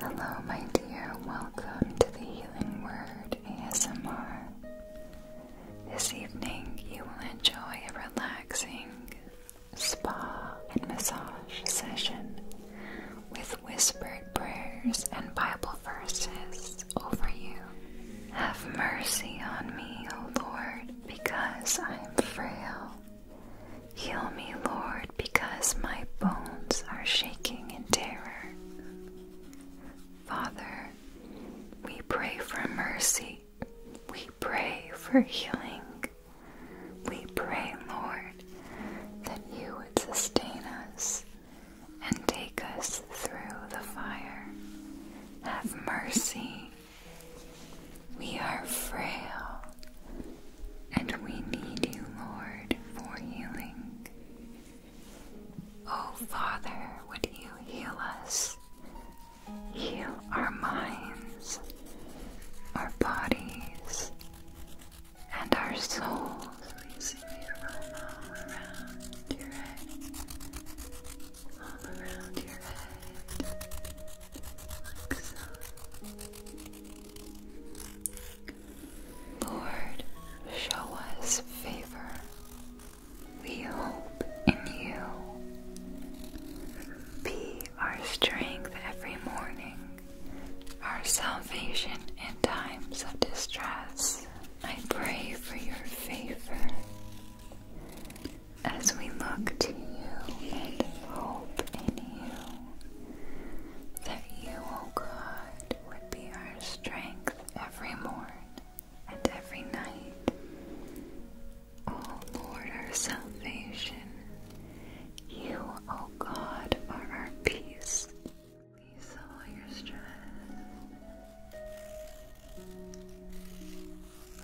Hello, my dear. Welcome to the Healing Word ASMR. This evening, you will enjoy a relaxing spa and massage session with whispered prayers and Bible verses over you. Have mercy on me, O Lord, because I am frail. Heal me, Lord, because my bones are shaking in terror. Father, we pray for mercy. We pray for healing. We pray, Lord, that you would sustain us and take us through the fire. Have mercy. We are frail and we need you, Lord, for healing. Oh, Father, would you heal us? Heal our minds, our bodies, and our souls. Releasing Lord, show us favor. We hope in you. Be our strength every morning, our salvation in times of distress. I pray for your favor as we look to you and hope in you that you, O God, would be our strength every morn and every night. O Lord, our salvation, you, O God, are our peace. Peace all your stress.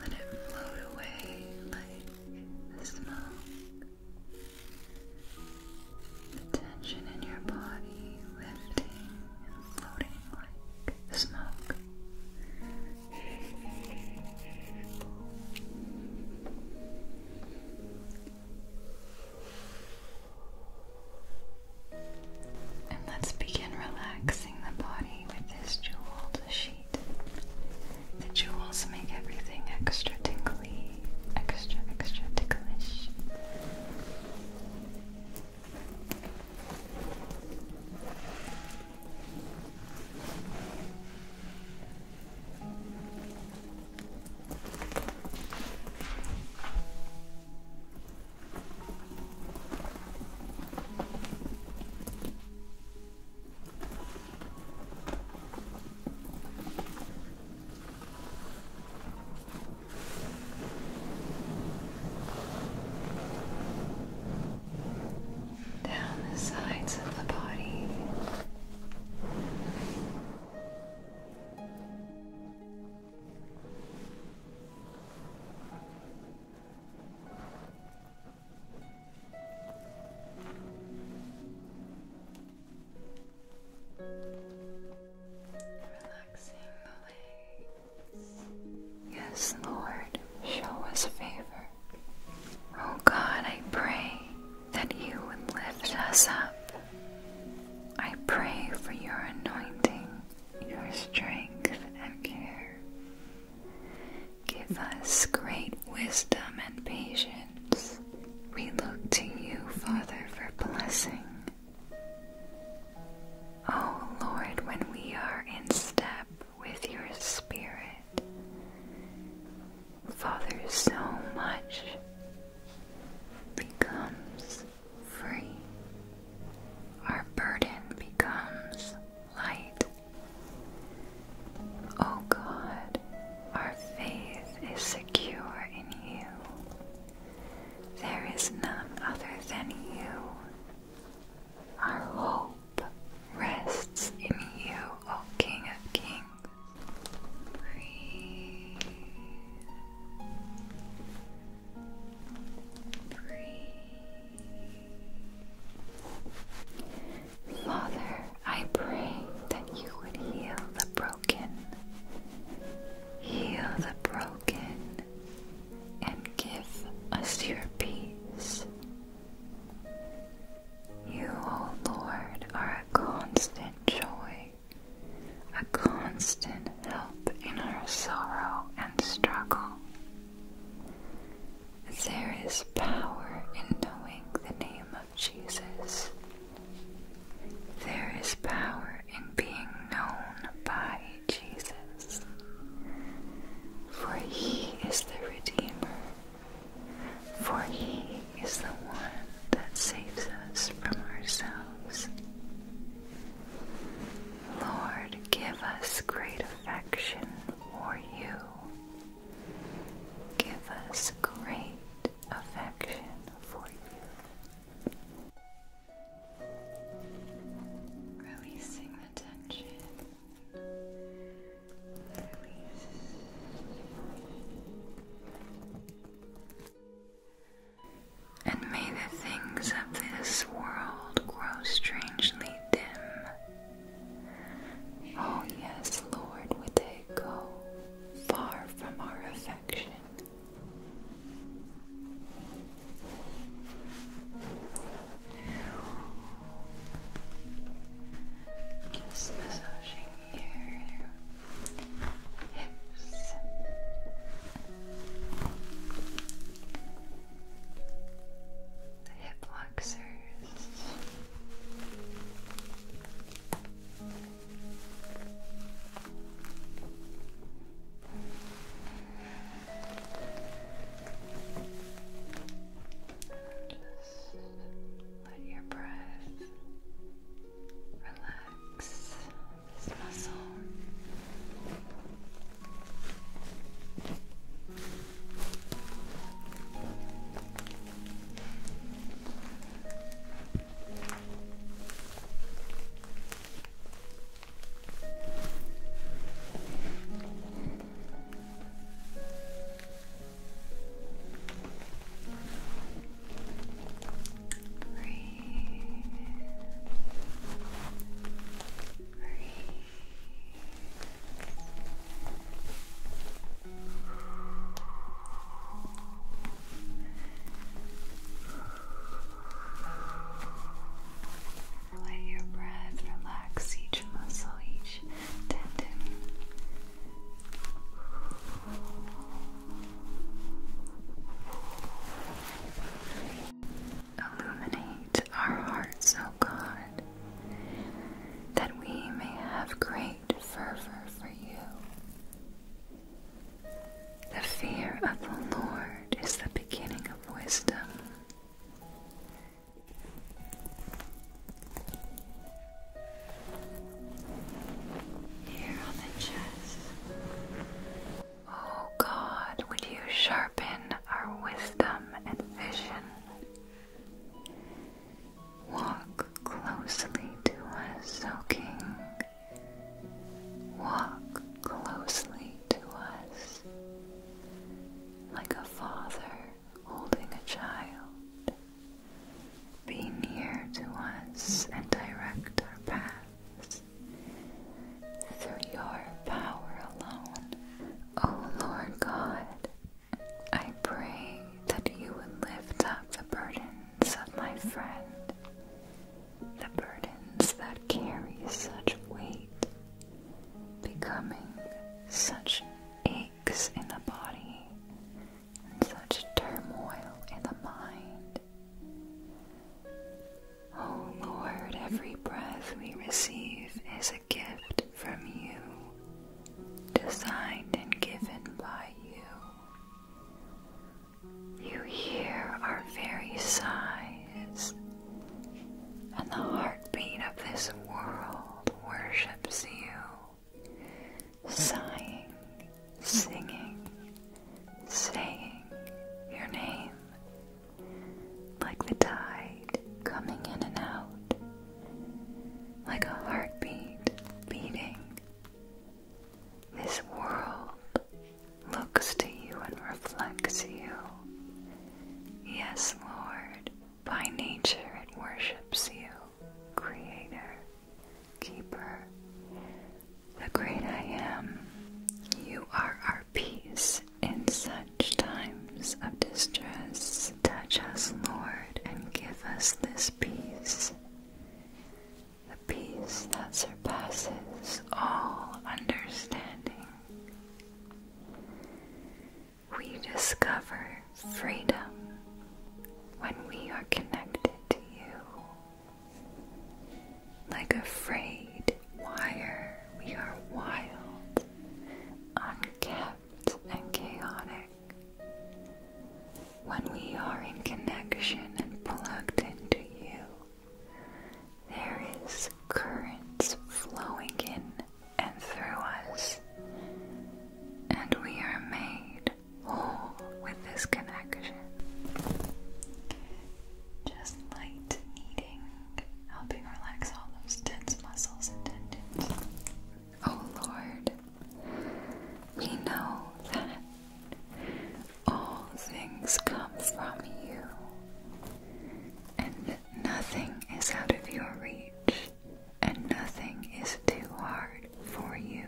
Let it float away like the smoke the tension in your body lifting and floating like smoke. And let's begin relaxing the body with this jeweled sheet. The jewels make everything extra tingly extra, extra ticklish down the sides of the body. Yes, Lord, show us favor. Oh God, I pray that you would lift us up. I pray for your anointing, your strength, and care. Give us great wisdom and patience we look to you, Father, for blessing. Oh Lord, when we are in step with your Spirit, Father, so much becomes free. Our burden becomes light. Oh God, our faith is secure in you. There is none other than you. Our hope rests in you, O King of Kings. Breathe. Breathe. Father, I pray that you would heal the broken. Heal the broken and give us your peace. You, O Lord, are a constant joy, a constant help in our sorrow and struggle. There is power in knowing the name Jesus. There is power in being known by Jesus, for he is the Redeemer, for he is the one that saves us from ourselves. Lord, give us great affection for you. Give us great affection and may the things of this world grow strangely dim. Oh, yes, Lord, with a they go far from our affection. massaging your hips. The hip flexors. Just let your breath relax this muscle. Breathe. Breathe. Let your breath relax each muscle, each tendon. Illuminate our hearts, oh God, that we may have great fervor for you. The fear of the Lord is the beginning of wisdom. Here on the chest. Oh God, would you sharpen our wisdom and vision Walk closely to us, O Walk closely to us, like a father holding a child. Be near to us and direct our paths. Through your power alone, O Lord God, I pray that you would lift up the burden hands my friend the burdens that carry such weight, becoming such aches in the body and such turmoil in the mind. Oh Lord, every breath we receive is a gift from you, designed and given by you. You hear our very sighs, and the heartbeat of this world worships you, sighing, singing, saying your name, like the tide coming in and out, like a heartbeat beating. This world looks to you and reflects you. Yes, Lord, by nature it worships you, Creator, Keeper, the Great I Am. You are our peace in such times of distress. Touch us, Lord, and give us this peace the peace that surpasses all understanding. We discover freedom when we are connected to you. Like a frayed wire, we are wild, unkept, and chaotic. When we are in connection and plugged into you, there is currents flowing in and through us, and we are made whole with this connection. Just light kneading, helping relax all those tense muscles and tendons. Oh Lord, we know that all things come from you, and nothing is out of your reach, and nothing is too hard for you.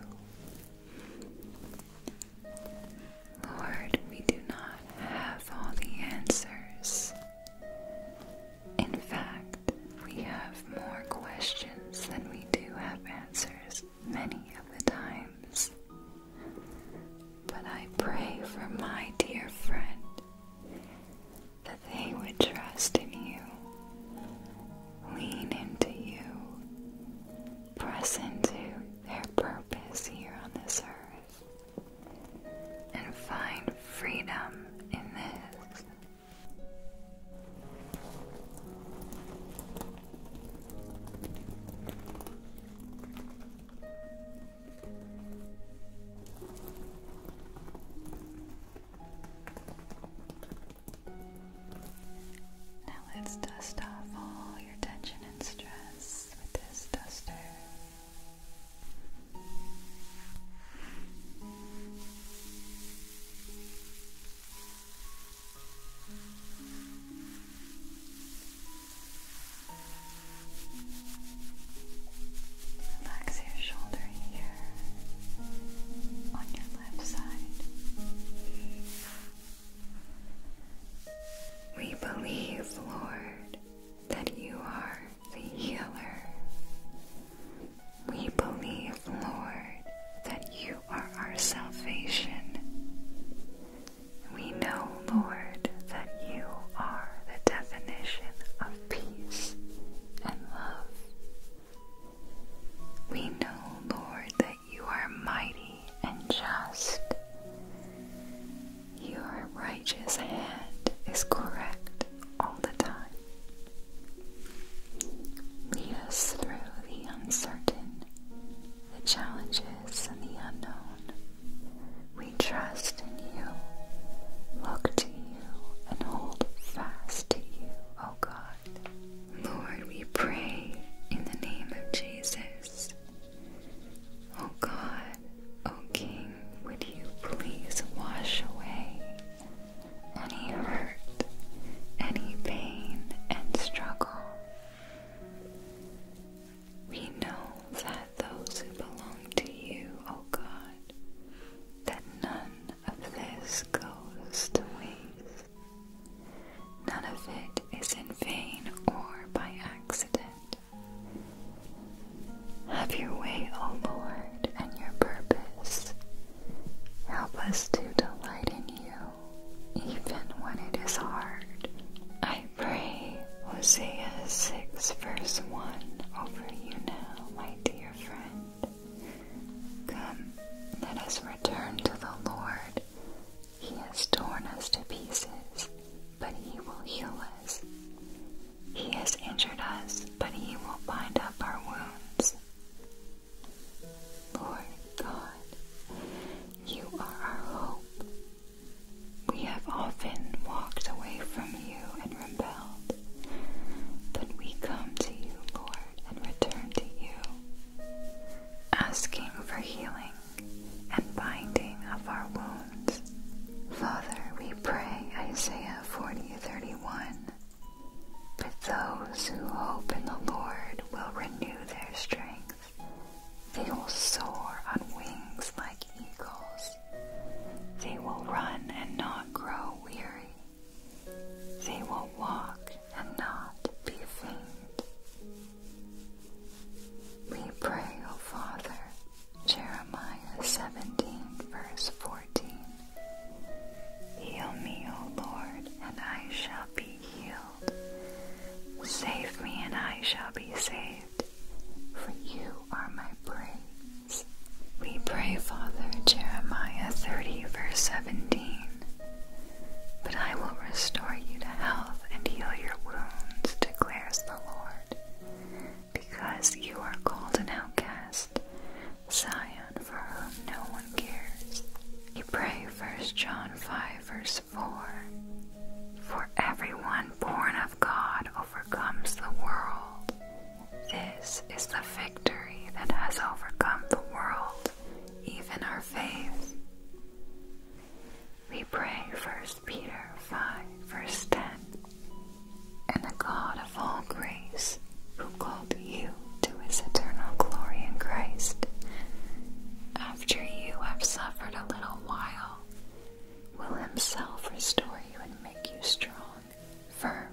Lord, we do not have all the answers. In fact, we have more questions than we do have answers many of the times, but I pray for my dear friend that they would trust in you, lean into you, press into their purpose here on this earth, and find freedom in this. Now let's dust off all your tension and stress with this duster. Relax your shoulder here on your left side. We believe, Lord, that you are the healer. We believe, Lord, that you you are our salvation. We know, Lord, that you are the definition of peace and love. We know, Lord, that you are mighty and just. Your righteous hand is correct all the time. Lead us through the uncertain the challenges, and the unknown. We trust in you, look to you, and hold fast to you, O oh God. Lord, we pray in the name of Jesus. O oh God, O oh King, would you please wash away any hurt, any pain, and struggle? We know that those who belong to you, O God, that none of this goes to waste. None of it is in vain or by accident. Have your way, O Lord, and your purpose. Help us to delight in you even when it is hard. I pray Hosea 6, verse 1 over you now, my dear friend. Come, let us return to the Lord. He has torn us to pieces, but He will heal us. He has injured us, but He will bind up our wounds. Lord God, you are our hope. We have often walked away from you and rebelled, but we come to you, Lord, and return to you, asking for healing and binding of our wounds. Father, we pray Isaiah 40:31. But those who hope in the Lord will renew their strength, they will soar on wings like eagles. They will run and not grow weary. They will walk and not be faint. We pray, O Father, Jeremiah 17, Heal me, O Lord, and I shall be healed. Save me, and I shall be saved, for you are my praise. We pray, Father, Jeremiah 30, verse 17. But I will restore you to health and heal your wounds, declares the Lord. Because you are called an outcast, Zion, for whom no one we pray First John 5, verse 4 For everyone born of God overcomes the world. This is the victory that has overcome the world, even our faith. We pray First Peter 5, verse 10 And the God of all grace, who called you to his eternal glory in Christ. After you have suffered a little while, will himself restore you and make you strong, firm,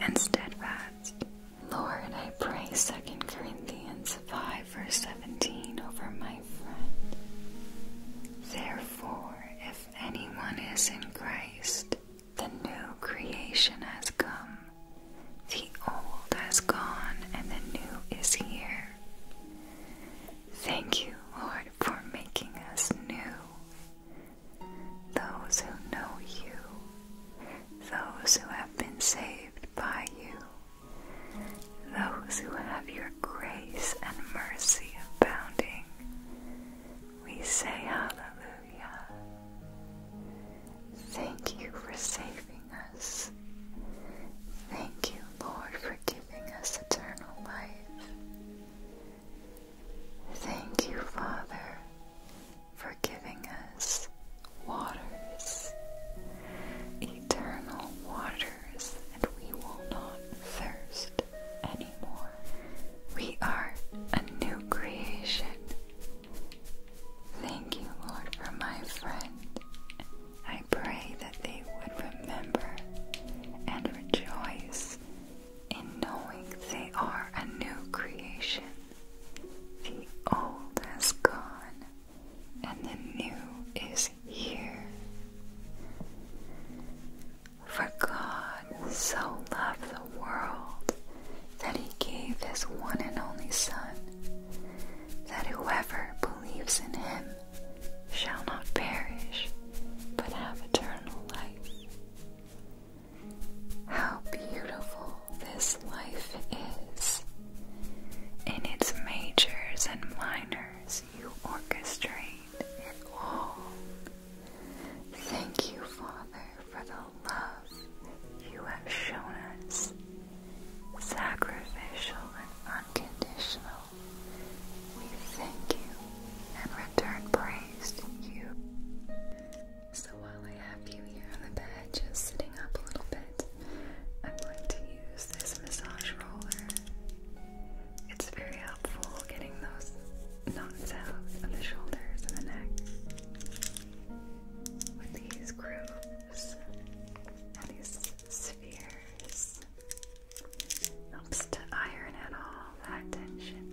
and steadfast. Lord, I pray Second Corinthians 5 verse 17 over my friend. Therefore, if anyone is in Christ, the new creation has come. The old has gone and the new is here. Thank you, Lord, for making us new. Those who know you, those who have been saved by you, those who have your grace and mercy abounding, we say hallelujah. Thank you for saving us. Thank you, Lord, for giving us eternal life. Thank you, Father, for giving us waters, eternal waters, and we will not thirst anymore. We are a new creation Thank you, Lord, for my friend. I pray that they would remember and rejoice in knowing they are a new creation. The old has gone and the new is here. For God so loved the world that he gave his one and only Son, that whoever believes in him shall not perish, but have eternal life. How beautiful this life is! In its majors and minors, you orchestrate it all. Thank you, Father, for the love you have shown us sacrificial and unconditional. We thank you and return praise to you. So while I have you here on the bed, just sitting up a little bit, I'm going to use this massage roller. It's very helpful getting those knots out of the shoulders and the neck with these grooves windows and these spheres helps to iron out all that tension.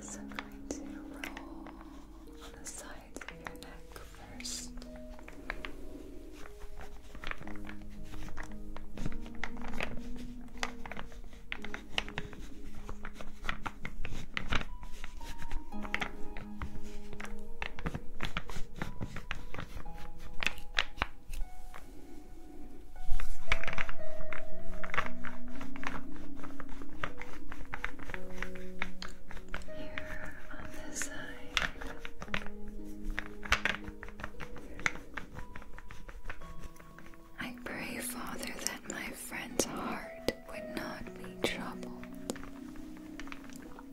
So I'm going to roll on the sides of your neck first. I pray, Father, that my friend's heart would not be troubled,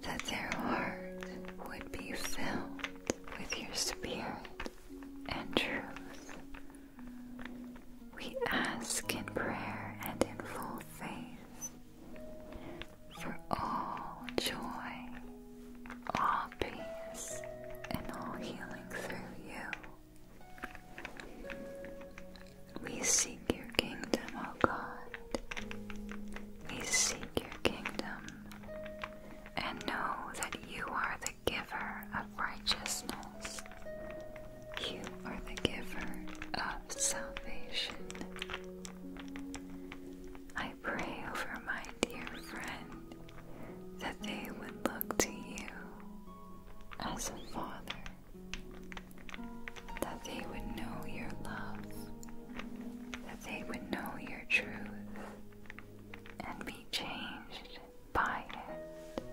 that their heart would be filled with your spirit and truth. We ask in prayer and in full faith for all joy, all peace, and all healing through you. We seek your kingdom, O God. We seek your kingdom and know that you are the giver of righteousness. You are the giver of salvation. I pray over my dear friend that they would look to you as a father, that they would know your love, that they would know your truth, and be changed by it.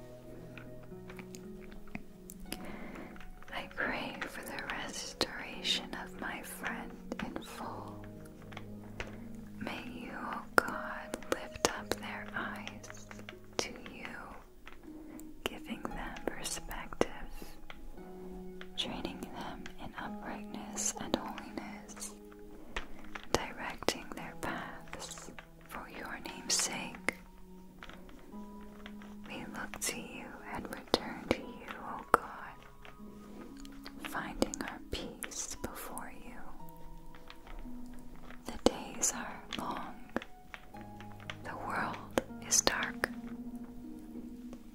I pray for the restoration of my friend in full. May you, O oh God, lift up their eyes to you, giving them perspective, training them in uprightness and holiness, directing their paths for your name's sake. We look to you and return to you, O God, finding our peace before you. The days are long, the world is dark,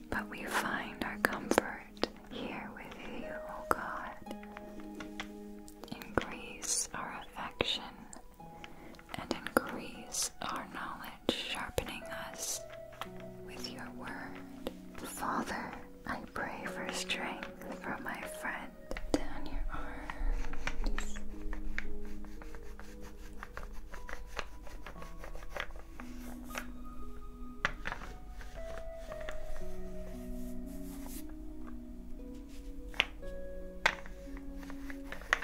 but we find our comfort here with you, O God. Increase our affection and increase our knowledge, sharpening us with your word. Father, I pray for strength for my friend. Down your arms.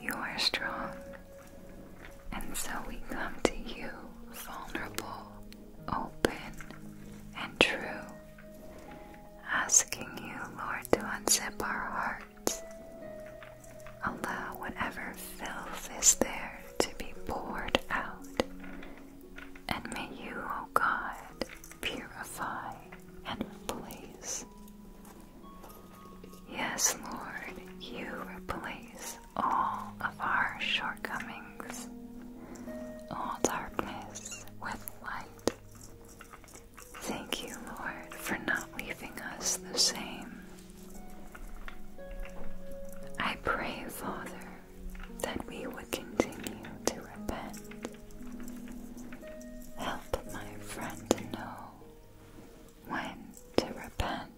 you are strong. And so we come to you vulnerable, open, and true, asking you, Lord, to unzip our hearts. Allow whatever filth is there to be poured out. And may you, O oh God, purify and please. Yes, Lord, you replace all of our shortcomings, all darkness with light. Thank you, Lord, for not leaving us the same. I pray, Father, that we would continue to repent. Help my friend to know when to repent,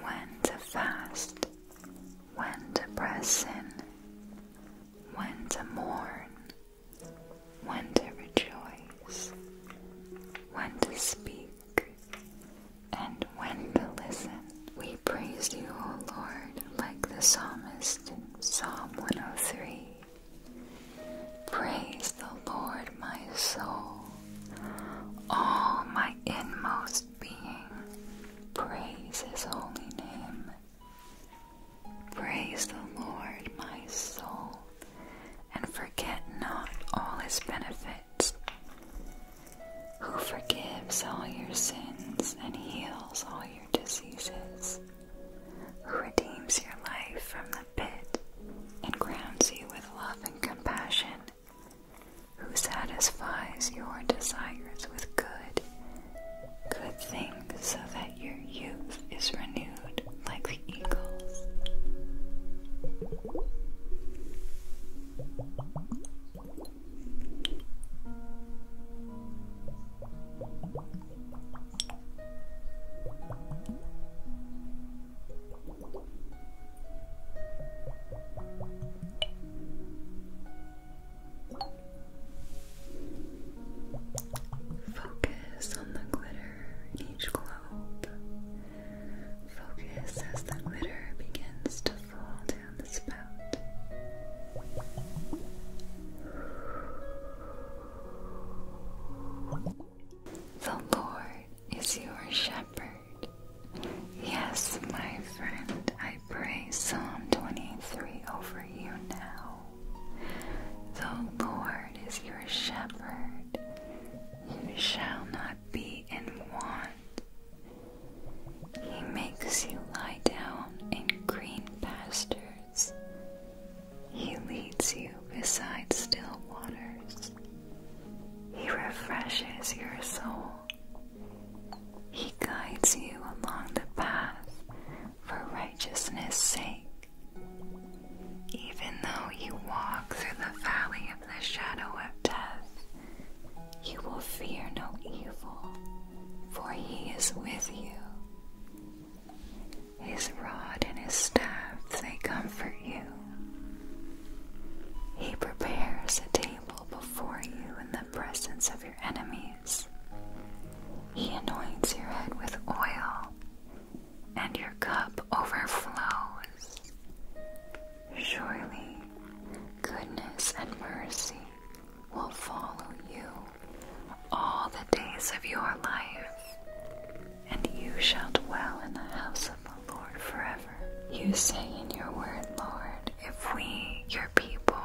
when to fast, when to press in, when to mourn, when to rejoice, when to speak, and when to listen. We praise you, O Lord, like the psalmist in Psalm 103. Praise the Lord, my soul. All my inmost being, praise his holy name. Praise the Lord, my soul, and forget not all his benefits, who forgives all your sins and heals all your diseases who redeems your life from the pit and crowns you with love and compassion, who satisfies your desires with good, good things so that your youth is renewed like the eagles. Focus on the glitter in each globe. Focus as the glitter begins to fall down the spout. The Lord is your shepherd. Yes, my friend, I pray Psalm 23 over you now. The Lord is your shepherd. You shall not be in want. He makes you lie down in green pastures. He leads you beside still waters. He refreshes your soul. He guides you along the path for righteousness' sake. Even though you walk through the valley of the shadow of death, you will fear no evil, for he is with you. His rod and his staff, they comfort you. He prepares a table before you in the presence of your enemies. He anoints your head with oil, and your cup overflows. Surely, goodness and mercy will follow you all the days of your life, and you shall dwell in the house of the Lord forever. You say in your word, Lord, if we, your people,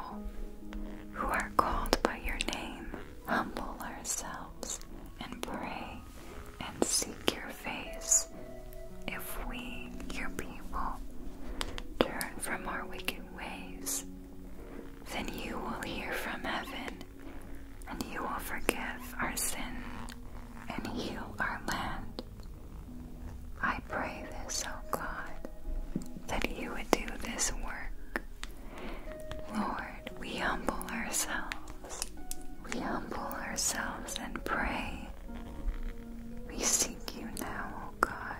who are called by your name, humble ourselves and pray and seek your face, if we, your people, turn from our wicked ways, then you will hear from heaven and you will forgive our sin and heal our land. I pray this, O God, that you would do this work. Lord, we humble ourselves. We humble ourselves and pray. We seek you now, O God.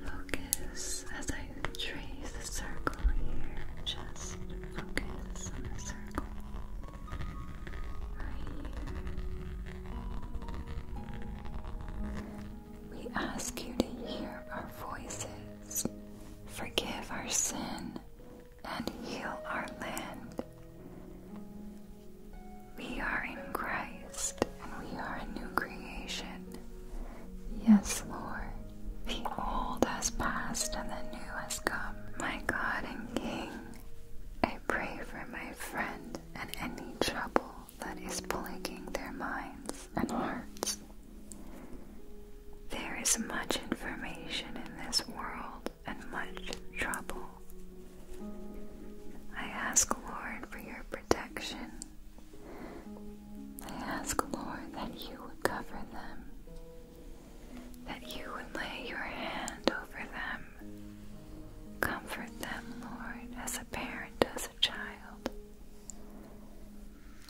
Focus as I trace the circle here. Just focus on the circle We ask you to hear our voices, forgive our sin, and heal our land. We are in Christ and we are a new creation. Yes, Lord, the old has passed and the new has come. My God and King, I pray for my friend and any trouble that is plaguing their minds and hearts. There is much information in this world and much trouble. I ask, Lord, for your protection. I ask, Lord, that you would cover them, that you would lay your hand over them. Comfort them, Lord, as a parent does a child.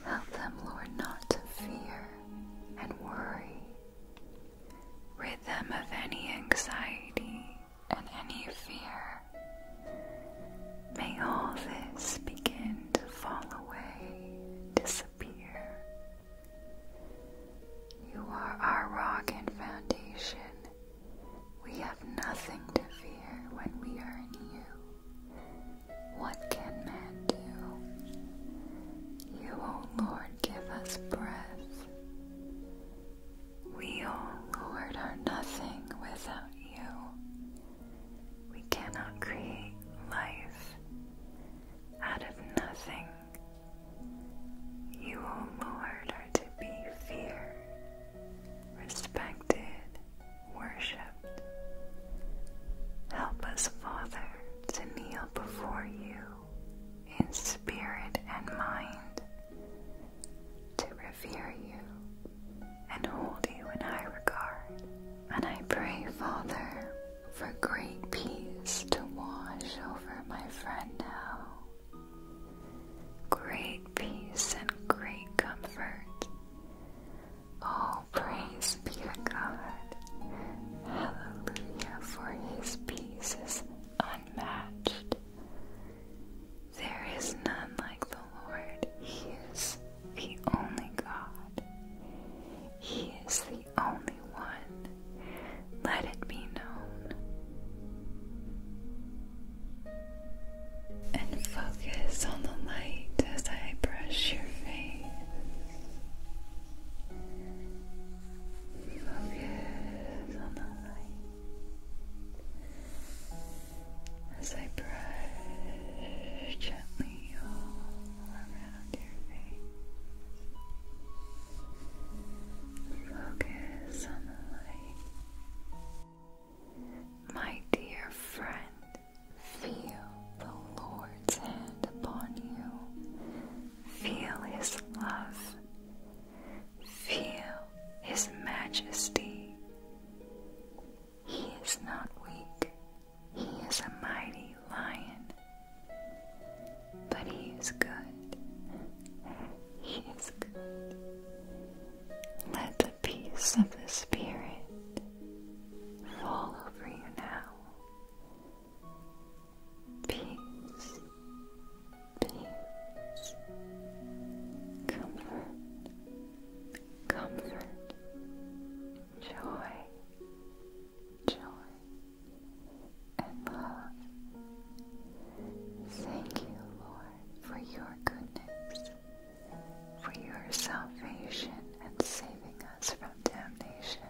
Help them, Lord, not to fear and worry Rhythm of any anxiety and any fear. May all this begin to fall away, disappear. You are our rock and foundation. We have nothing to fear when we are in you. What can man do? You, O Lord, give us breath. We, O Lord, are nothing without you. We cannot create life out of nothing. You, O Lord, are to be feared, respected, worshipped. Help us, Father, to kneel before you in spirit and mind, to revere you and hold you in high regard. And I pray, Father, for great peace to wash over my friend now. Great peace and great comfort. All praise be to God Hallelujah, for his peace is unmatched. There is none like the Lord. He is the only God. He is the only one. Let it be known. And focus on the light as I brush your face. Focus on the light as I brush gently all around your face. Focus on the light. My dear friend, feel the Lord's hand upon you Feel His love. Feel His majesty. He is not weak, He is a mighty lion. But He is good. He is good. Let the peace of the Spirit fall over you now peace, peace, comfort, comfort, joy, joy, and love. Thank you, Lord, for your goodness, for your salvation and saving us from damnation.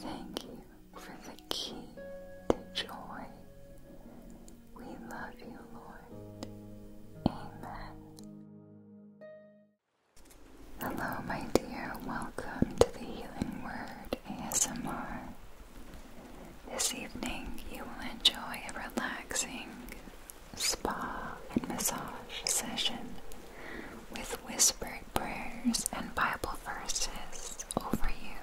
Thank you for the key to joy. We love you, Lord. Amen. Hello, my dear. Welcome to the Healing Word ASMR. This evening, you will enjoy a relaxing spa and massage session with whispered prayers and Bible verses over you.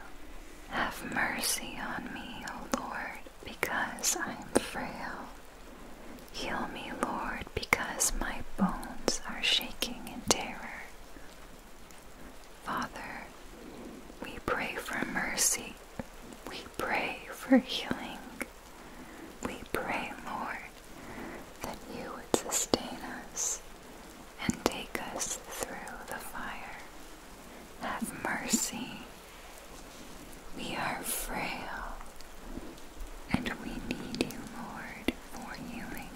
Have mercy on me, O Lord, because I am frail. Heal me, Lord, because my bones are shaking in terror. Father, we pray for mercy. We pray for healing. We pray, Lord, that you would sustain us and take us through the fire. Have mercy. We are frail and we need you, Lord, for healing.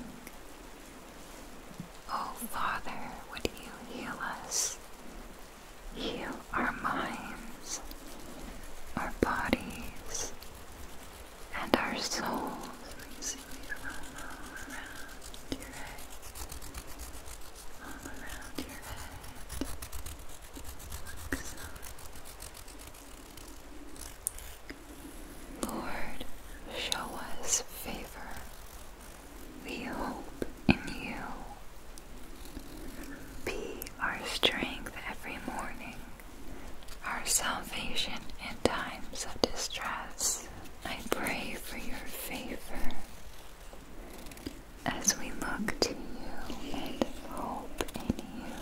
Oh, Father, would you heal us? Heal our minds, our bodies, and our souls. Releasing the aroma all around your head. All around your head. Lord, show us favor. We hope in you. Be our strength every morning our salvation in times of distress. I pray for your favor as we look to you and hope in you,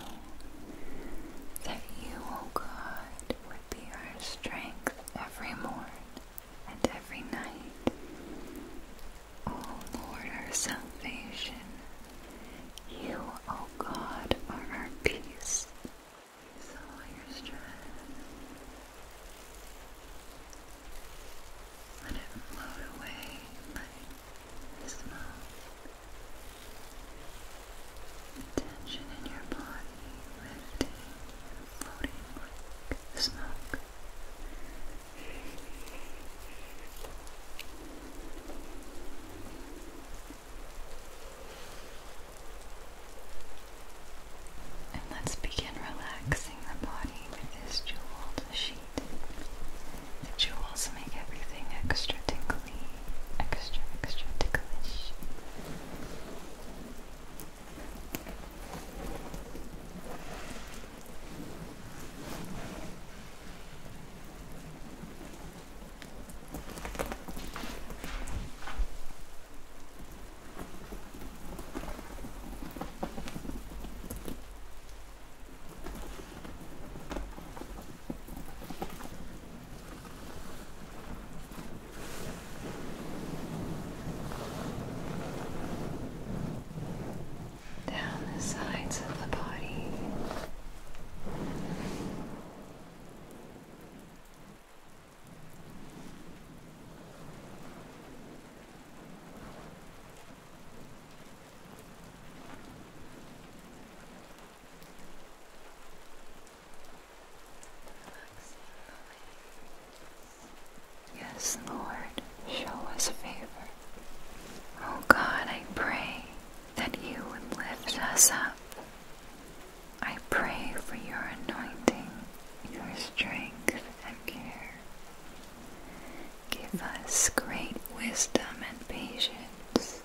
that you, O God, would be our strength every morn and every night. O Lord, our salvation, you, O God, are our peace. Release all your stress. Let it float away like smoke. The tension in your body lifting floating like smoke. And let's begin relaxing the body with this jeweled sheet. The jewels make everything extra tingly, extra, extra ticklish down the sides of the body. Yes, Lord, show us favor. Oh God, I pray that you would lift us up I pray for your anointing, your strength, and care. Give us great wisdom and patience.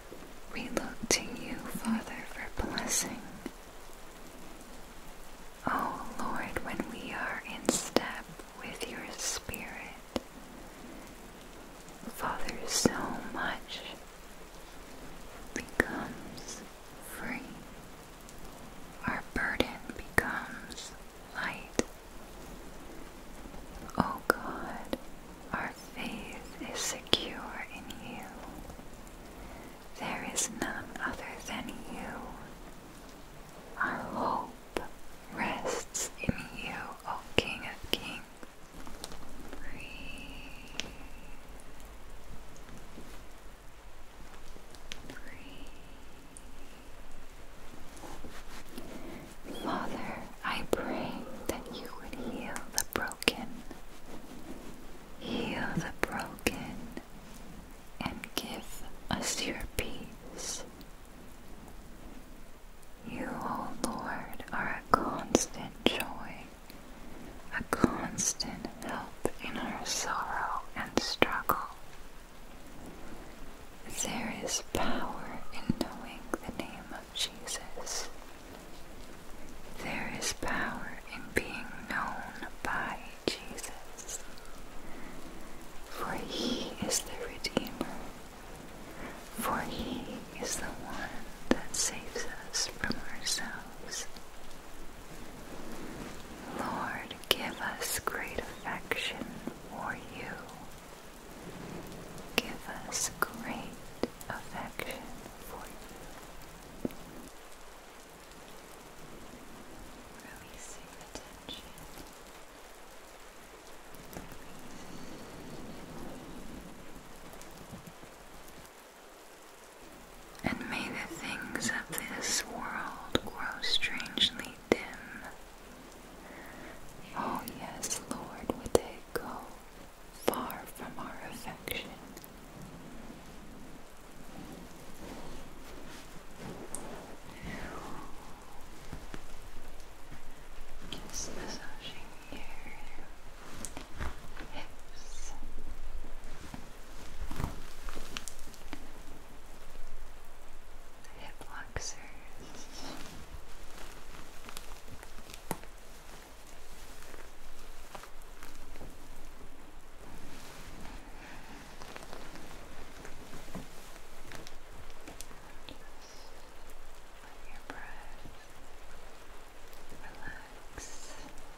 We look to you, Father, for blessing. Oh Lord, when we are in step with your Spirit, Father, so much becomes free. Our burden becomes light. Oh God, our faith is secure in you. There is none other than you. Our hope rests in you, O King of Kings. Breathe. Breathe. Father, I pray that you would heal the broken, heal the broken, and give us your peace. You, O Lord, are a constant joy a constant help in our sorrow and struggle. There is power in knowing the name of Jesus. There is power in being known by Jesus. For he is the Redeemer. For he is the one that saves us from ourselves. Lord, give us great affection for you. Give us great affection for you. Releasing attention. Releasing. And may the things of this world grow strangely dim. Oh, yes, Lord, would they go far from our affection. Just your hips. Hip flexors. Just let your breath Relax.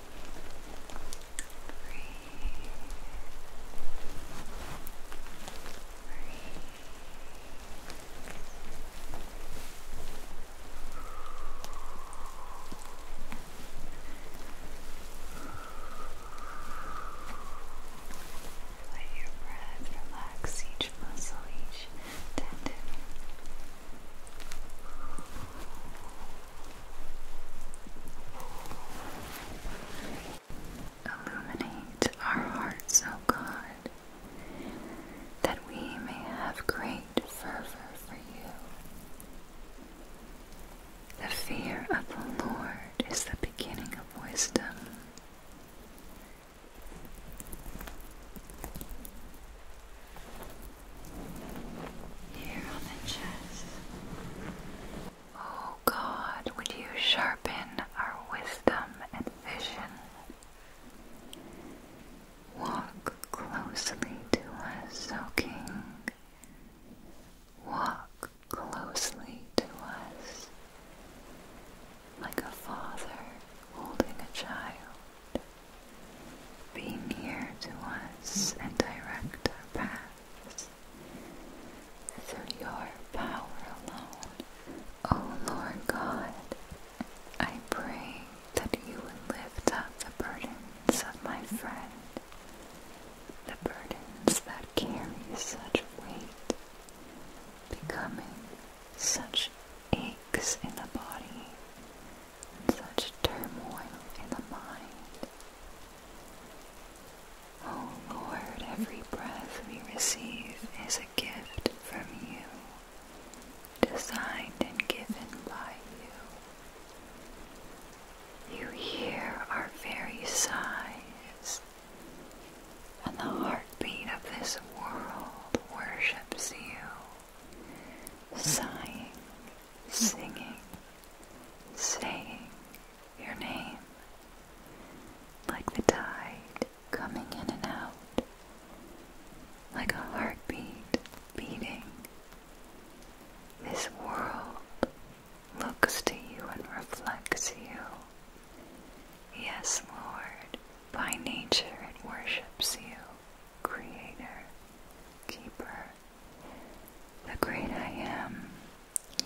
Let your breath relax each muscle, each tendon. Illuminate our hearts, O God, that we may have great fervor for you. The fear of the Lord is the beginning of wisdom. Here Oh God, would you sharpen our wisdom and vision? Walk closely to us, O Walk closely to us like a father holding a child. Be near to us and direct our path through your power alone. O Lord God, I pray that you would lift up the burdens of my friend, the burdens that carry such weight, becoming such aches in the body and such turmoil in the mind. Oh Lord, every breath we receive is a gift from you, designed and given by you. You hear our very sighs, and the heartbeat of this world worships you, sighing singing, saying your name, like the tide coming in and out, like a heartbeat beating. This world looks to you and reflects you. Yes, Lord, by nature it worships you, Creator, Keeper the great I am,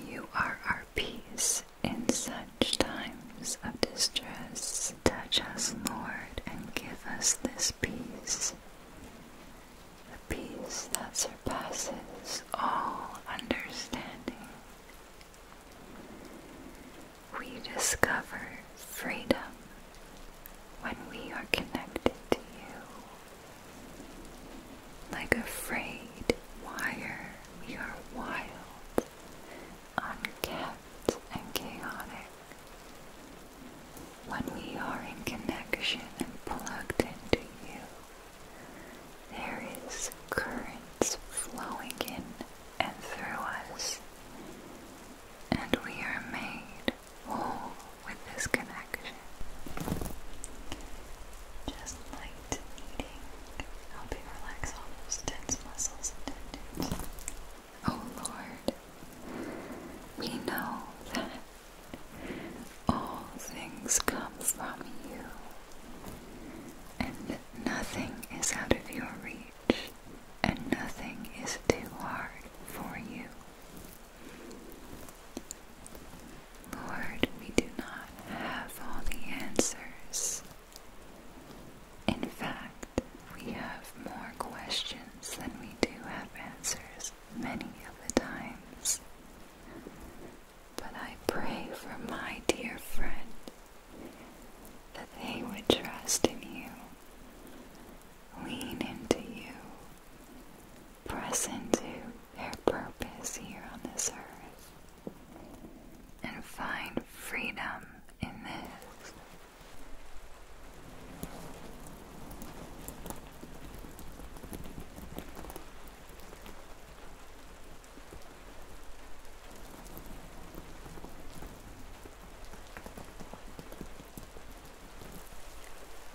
you are our peace in such times of distress. Touch us, Lord, and give us this peace, a peace that surpasses all understanding. We discover freedom when we are connected to you. Like a frayed wire, we are wild, unkept, and chaotic. When we are in connection and plugged into you, there is currents flowing in and through us, and we are made Oh, with this connection. Just light eating, helping relax all those tense muscles Oh Lord, we know that all things come from you, and nothing is out of your reach, and nothing is too hard for you. Lord, we do not have all the answers. In fact, we have more questions than we do have answers many of the times. But I pray for my dear friend that they would trust in you, lean into you, press into their purpose here on this earth and find freedom in this.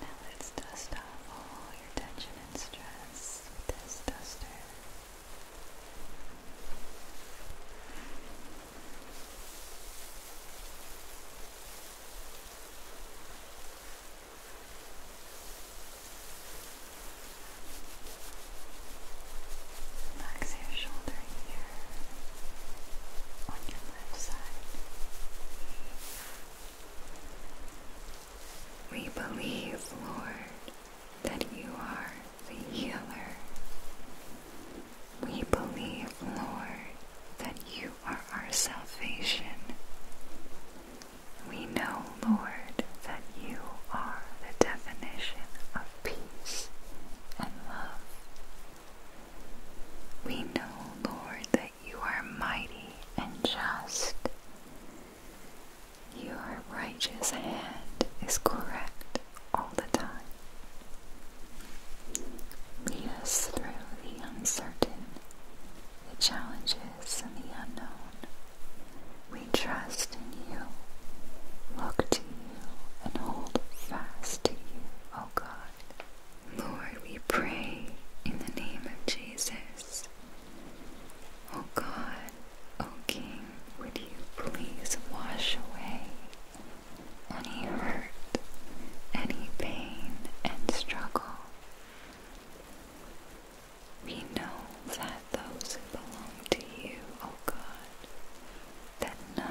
Now let's dust off all your tension and stress with this duster. Relax your shoulder here on your left side. We believe, Lord, that you are the healer. We believe, Lord, that you are our salvation. We know, Lord, that you are the definition of peace and love. We know, Lord, that you are mighty and just. Your righteous hand is correct all the time. Lead us through the uncertain, the challenges, and the unknown. We trust in you, look to you, and hold fast to you, O God. Lord, we pray in the name of Jesus Oh God, oh King, would you please wash away any hurt, any pain and struggle? We know that those who belong to you, oh God, that none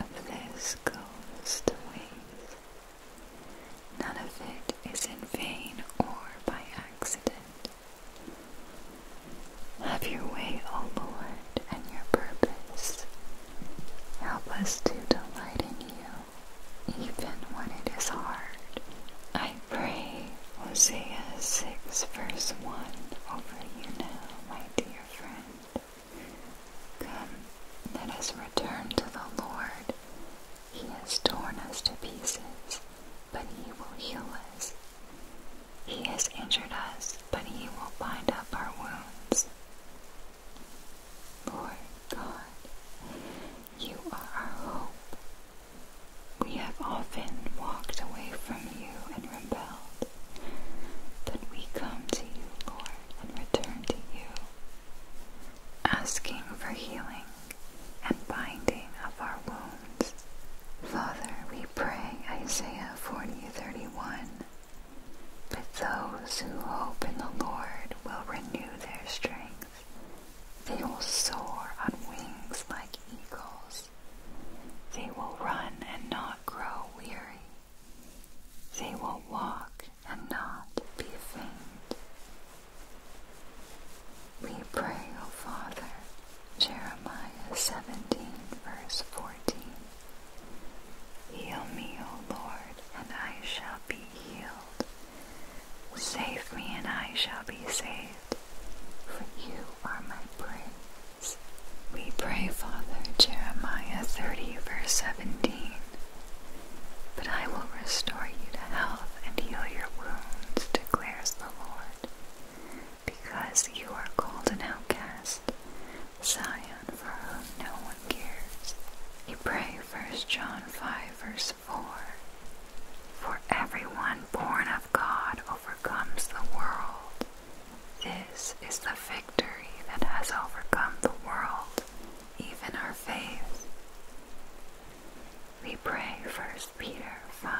of this goes to waste. None of it is in vain or by accident. Have your way, O Lord, and your purpose. Help us to delight in you, even when it is hard. I pray Hosea 6, verse 1 over you now, my dear friend. Come, let us return to the Lord he has torn us to pieces, but he will heal us. He has injured us, but he will bind up our wounds. Lord God, you are our hope. We have often walked away from you and rebelled, but we come to you, Lord, and return to you asking for healing and binding of our wounds. Father, we pray Isaiah 40:31. But those who hope in the Lord will renew their strength. They will soar on wings like eagles. They will run and not grow weary. They will walk and not be faint. We pray, O Father, Jeremiah 17, verse 14. Heal me, O Lord, and I shall be healed. Save me, and I shall be saved, for you are my prince. We pray, Father, Jeremiah 30, verse 17. But I will restore you to health and heal your wounds, declares the Lord. Because you are called an outcast, Zion for whom no one cares. You pray 1 John 5 verse 4. For everyone born of God overcomes the world. This is the victory that has overcome the world, even our faith. We pray 1 Peter 5,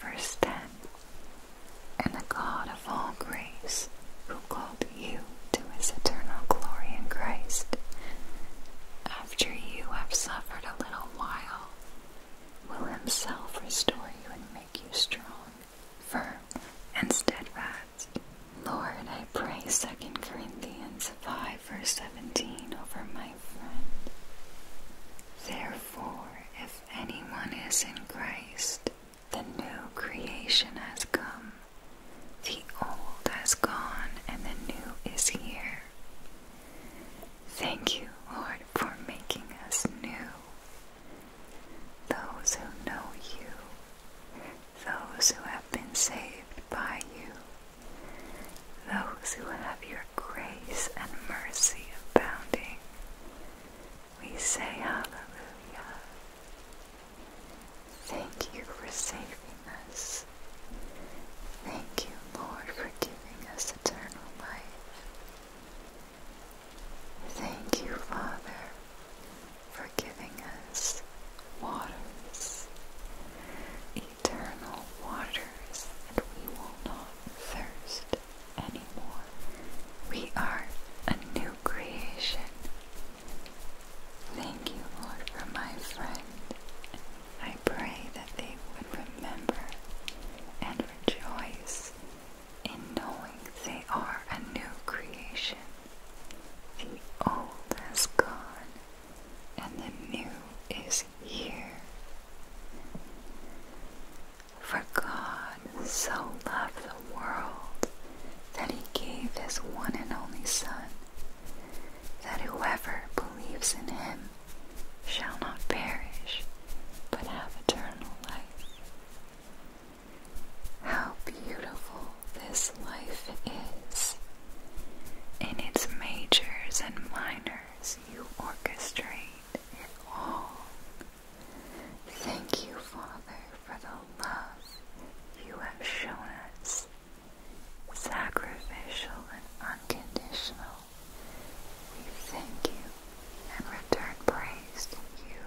verse 10. And the God of all grace, who called you to his eternal glory in Christ, after you have suffered a little while, will himself restore you and make you strong, firm, and steadfast. Lord, I pray Second Corinthians 5 verse 17 over my friend. Therefore, if anyone is in Christ, the new creation has come. The old has gone and the new is here. Thank you, Lord, for making us new. Those who know you, those who have been saved by you, those who have your grace and mercy abounding. We say hallelujah. Thank you for saving us. Thank you, Lord, for giving us eternal life. Thank you, Father, for giving us waters, eternal waters, and we will not thirst anymore. We are a new creation. Thank you, Lord, for my friend. I pray that they would remember and rejoice in knowing they are a new creation. The old has gone and the new is here. For God so loved the world that he gave his one and only Son, that whoever believes in him shall not perish, but have eternal life. How beautiful this life is! In its majors and minors, you orchestrate it all. Thank you, Father, for the love you have shown us, sacrificial and unconditional. We thank you and return praise to you.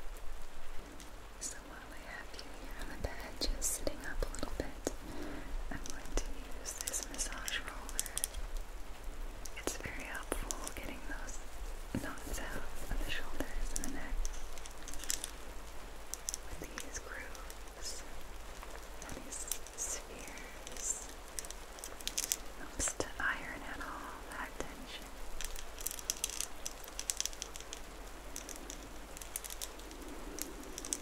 So while I have you here on the bed, just sitting up a little bit. I'm going to use this massage roller. It's very helpful getting those knots out of the shoulders and the neck with these grooves and these spheres. Helps to iron out all that tension.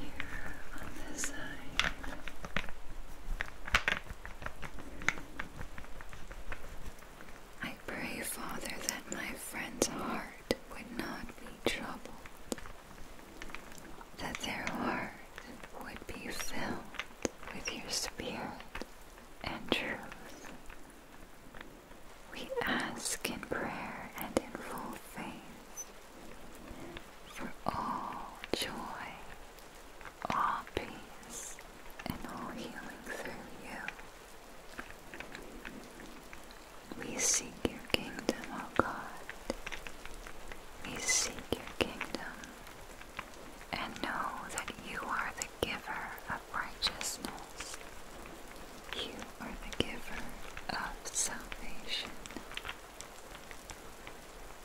Here on this side. I pray, Father, that my friend's heart would not be troubled, that their heart would be filled with your spirit and truth. We ask in prayer and in full faith for all joy, all peace, and all healing through you. We seek your kingdom, O God, we seek your kingdom and know that you are the giver of righteousness. You are the giver of salvation.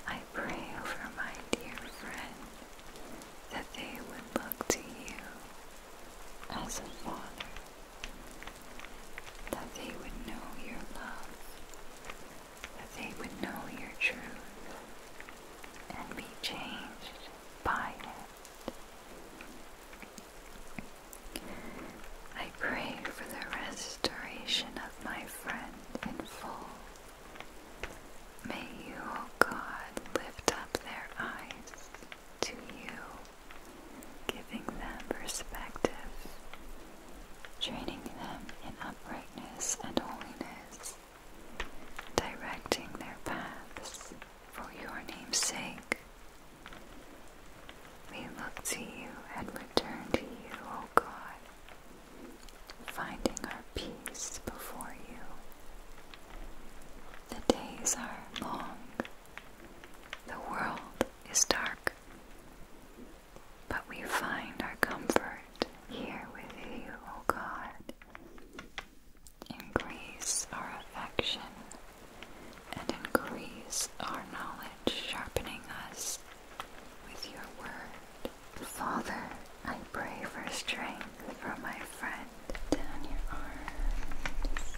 I pray over my dear friend that they would look to you as a father, that they would know your love that they would know your truth and be changed by it. I pray for the restoration of my friend in full. May you, O oh God, lift up their eyes to you, giving them perspective training them in uprightness and holiness, directing their paths for your name's sake. We look to you and return to you, O God, finding our peace before you. The days are long, the world is dark, but we find our comfort here with you, O God. Increase our affection and increase our knowledge, sharpening us with your word. Father, I pray for strength from my friend. Down your arms.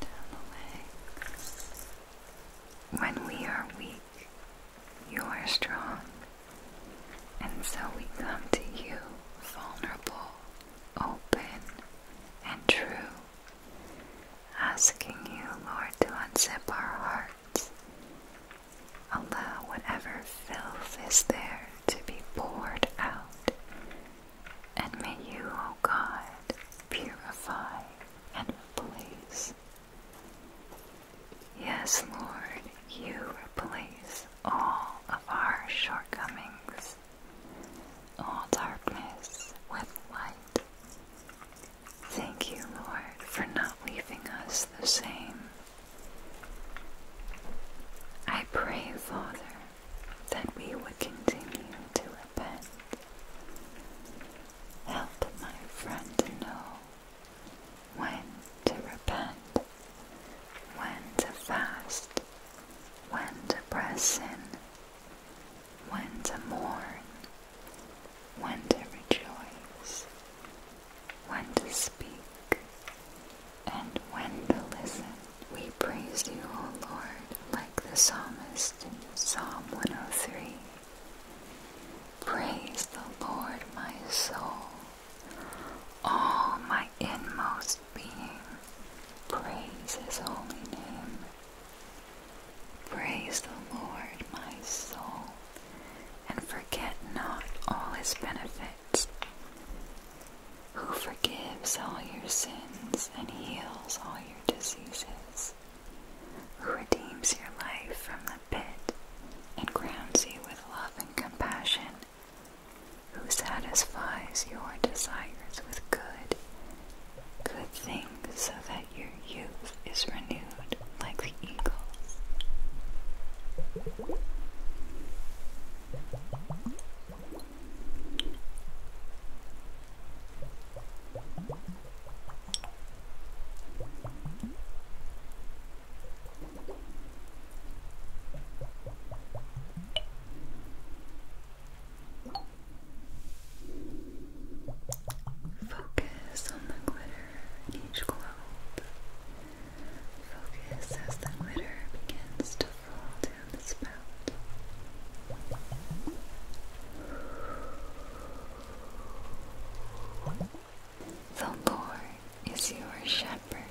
Down the legs. When we are weak, you are strong, and so we come to you vulnerable, open, and true, asking you, Lord, to unzip our hearts Allow whatever filth is there to be poured out. And may you, O God, purify and replace. Yes, Lord, you replace all of our shortcomings, all darkness with light. Thank you, Lord, for not leaving us the same I pray, Father, that we would continue to repent. Help my friend know when to repent, when to fast, when to press in, when to mourn, when to rejoice, when to speak, and when to listen. We praise you, O Lord, like the psalmist in Psalm 103. Praise the Lord, my soul. All my inmost being, praise his holy name. Praise the Lord, my soul, and forget not all his benefits, who forgives all your sins and heals all your diseases, who redeems your life from the pit and crowns you with love and compassion, who satisfies your desires with good, good things so that your youth is renewed like the eagles. Focus on the glitter each globe Focus as the glitter begins to fall down the spout. The Lord is your shepherd.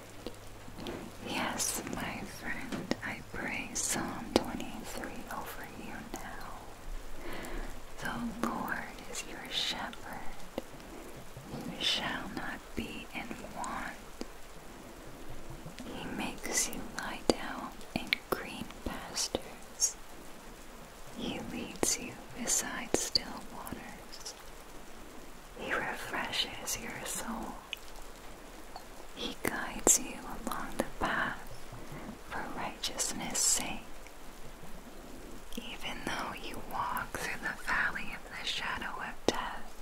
Yes, my friend, I pray Psalm 23 over you now. The Lord is your shepherd. You shall not be in want. He makes you lie down in green pastures. He leads you beside still waters. He refreshes your soul. He guides you along the path for righteousness' sake. Even though you walk through the valley of the shadow of death,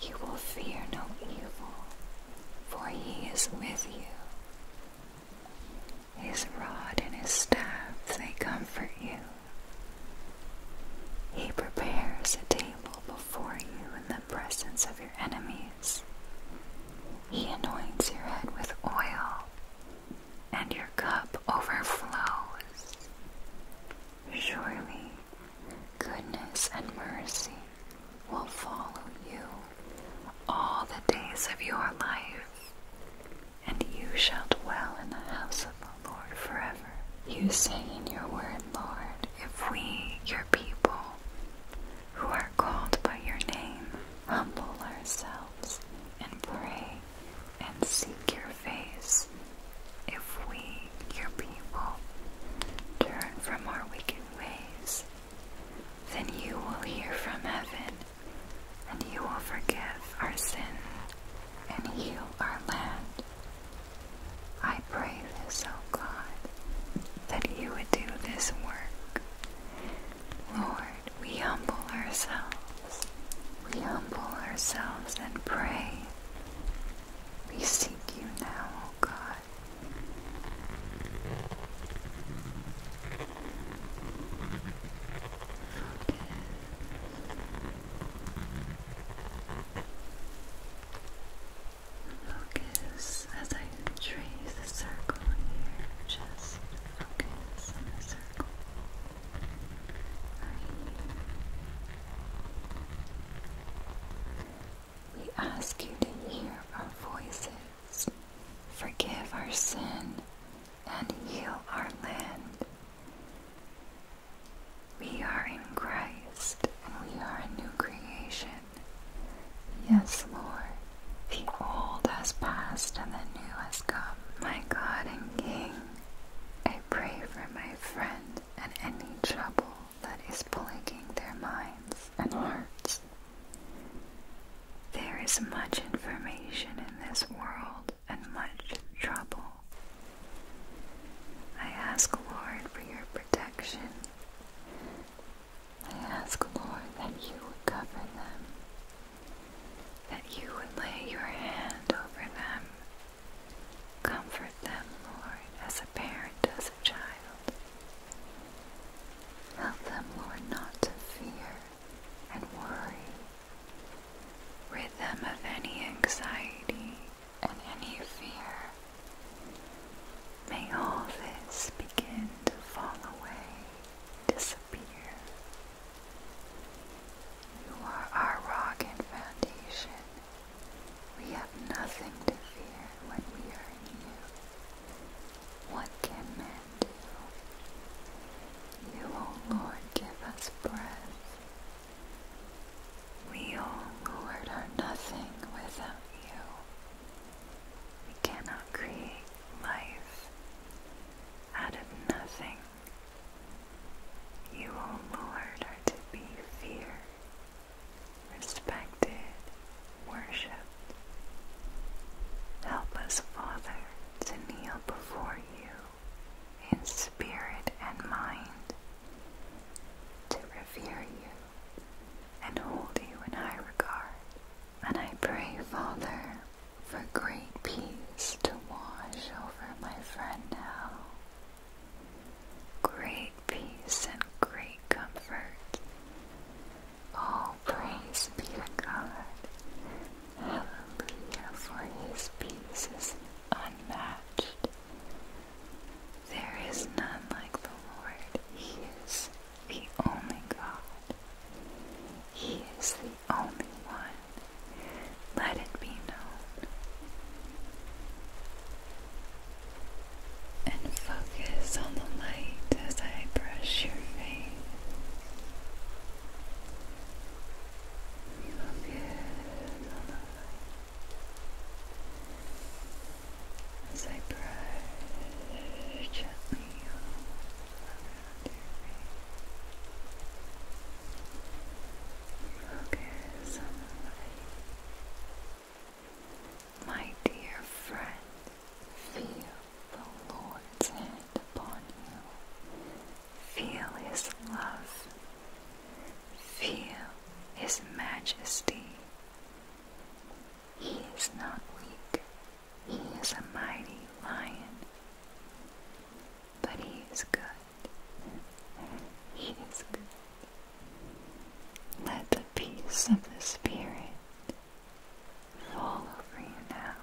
you will fear no evil, for he is with you. His rod and his staff, they comfort you. He prepares a table before you in the presence of your enemies. He anoints your head with oil, and your cup overflows. Surely goodness and mercy will follow you all the days of your life, and you shall dwell in the house of the Lord forever. You say in your word, Lord, if we, your people, who are called by your name, humble ourselves and pray and seek your face. If we, your people, turn from our wicked ways, then you will hear from heaven, and you will forgive our sin and heal our land. I pray this, O God, that you would do this work. Lord, we humble ourselves we humble ourselves and pray. We seek you now, O God. Focus as I trace the circle here. Just focus on the circle. We ask you to hear our voices, forgive our sin, and heal our land. We are in Christ and we are a new creation. Yes, Lord, the old has passed and the new has come. My God and King, pray for my friend and any trouble that is plaguing their minds and hearts. There is much information in this world and much trouble. I ask, Lord, for your protection. I ask, Lord, that you would cover them that you would lay your hand over them. Comfort them, Lord, as a parent does a child. Help them, Lord, not to fear and worry. Rid them of any anxiety and any fear. May all this begin to fall away, disappear, you are our rock and foundation. We have nothing to fear when we are in you. What can man do? You, O oh Lord, give us breath. We, O oh Lord, are nothing without you. We cannot create life out of nothing you, O Lord, are to be feared, respected, worshipped. Help us, Father, to kneel before you in spirit and mind, to revere you and hold you in high regard. And I pray, Father, for great peace to wash over my friend now. Great peace and great comfort. All praise be to God. Hallelujah, for his peace is unmatched. There is none like the Lord. He is the only God. He is the only one let it be known. And focus on the light as I brush your face. Focus on the light as I brush gently around your face. Focus My dear friend, feel the Lord's hand upon you. Feel His love. Feel His majesty. He is not weak. He is a mighty lion. But He is good. Let the peace of the Spirit fall over you now.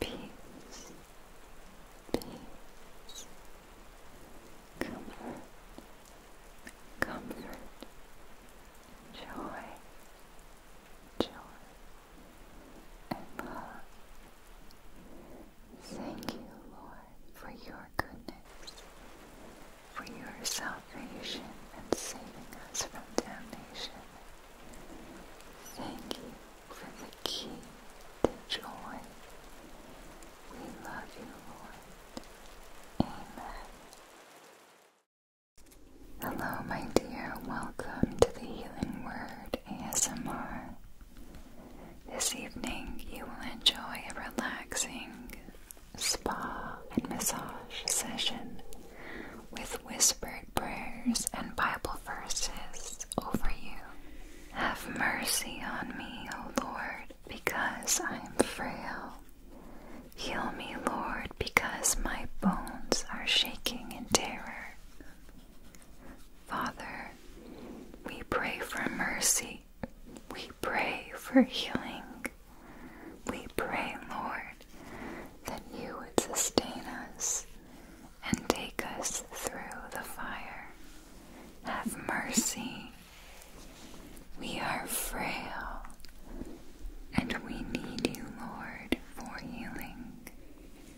Peace, peace, comfort, comfort, joy, joy and Thank you, Lord, for your goodness, for your salvation and saving us from damnation. Thank you for the key to joy. We love you, Lord. Amen. Hello, my dear. Welcome to the Healing Word ASMR. This evening, you will enjoy a relaxing spa and massage session with whispered prayers and Bible verses over you. Have mercy on me, O Lord, because I am frail. Heal me, Lord, because my bones are shaking in terror. Father, we pray for mercy. We pray for healing. We pray, Lord, that you would sustain us and take us through the fire. Have mercy. We are frail and we need you, Lord, for healing.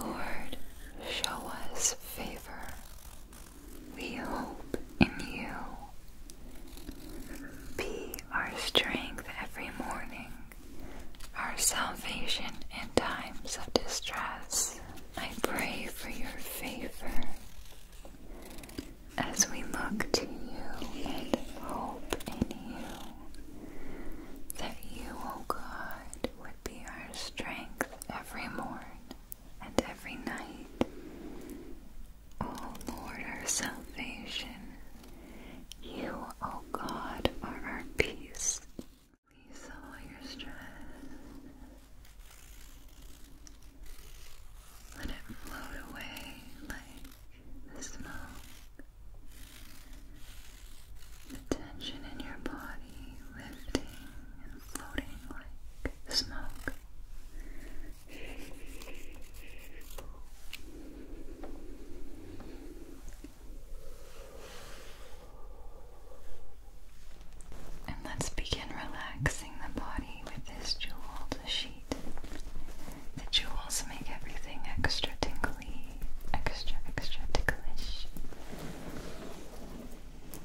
Lord, show us favor. We hope in you. Be our strength every morning, our salvation in times of distress. I pray for your favor as we look to you and hope in you that you, O God, would be our strength every morn and every night. O Lord, our salvation, you, O God, are our peace. Release all your stress. Let it float away like the smoke. The tension in your body lifting, and floating like smoke. And let's begin relaxing the body with this jeweled sheet. The jewels make everything extra tingly, extra, extra ticklish.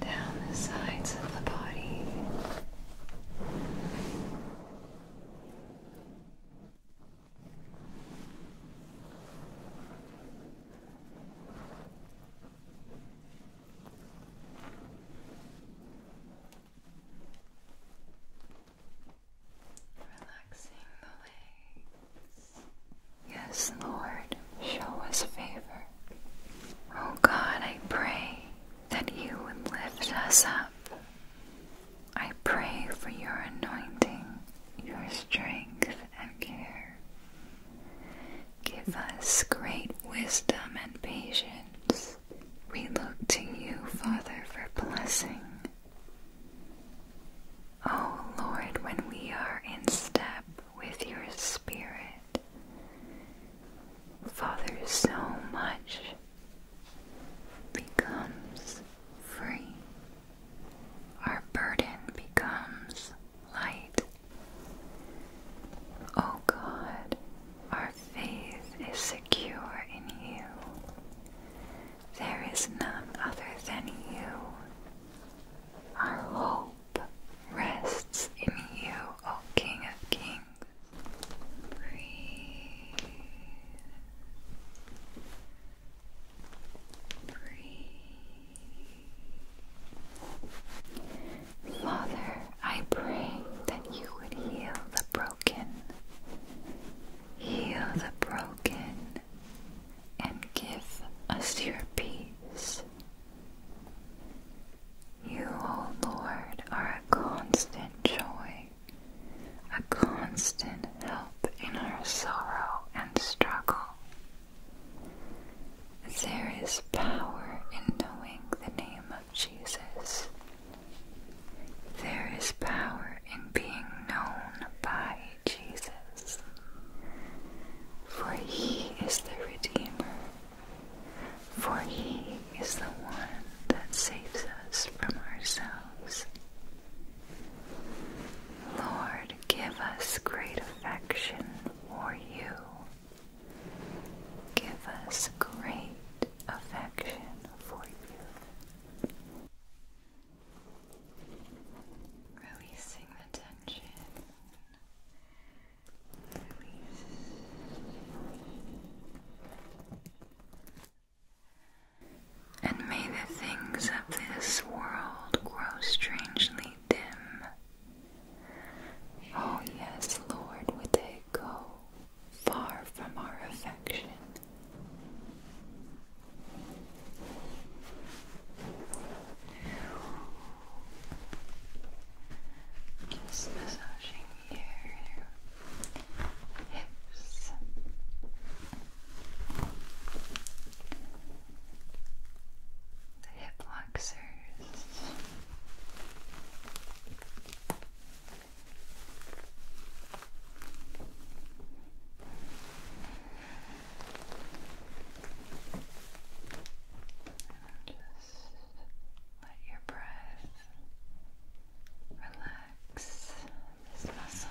down the sides of the body. Yes, Lord, show us favor. Oh God, I pray that you would lift us up. I pray for your anointing, your strength, and care. Give us great wisdom and patience. We look to you, Father, for blessing. Oh Lord, when we are in step with your Spirit, Father, so much becomes free. Our burden becomes light. Oh God, our faith is secure in you. There is none other than you. Our hope rests in you, O King of Kings. Breathe. Breathe. Father, I pray that you would heal the broken. Heal the broken and give us your peace. You, O Lord, are a constant joy, a constant help in our sorrow and struggle. There is power in knowing the name of Jesus. There is power in being known by Jesus, for he is the Redeemer, for he is the one that saves us from ourselves. Lord, give us great affection for you. Give us great affection for you. Releasing the tension. Release. And may the things of this world grow strangely dim. Oh, yes, Lord, would they go far from our affection just massaging your hips. The hip flexors. And just let your breath relax this muscle.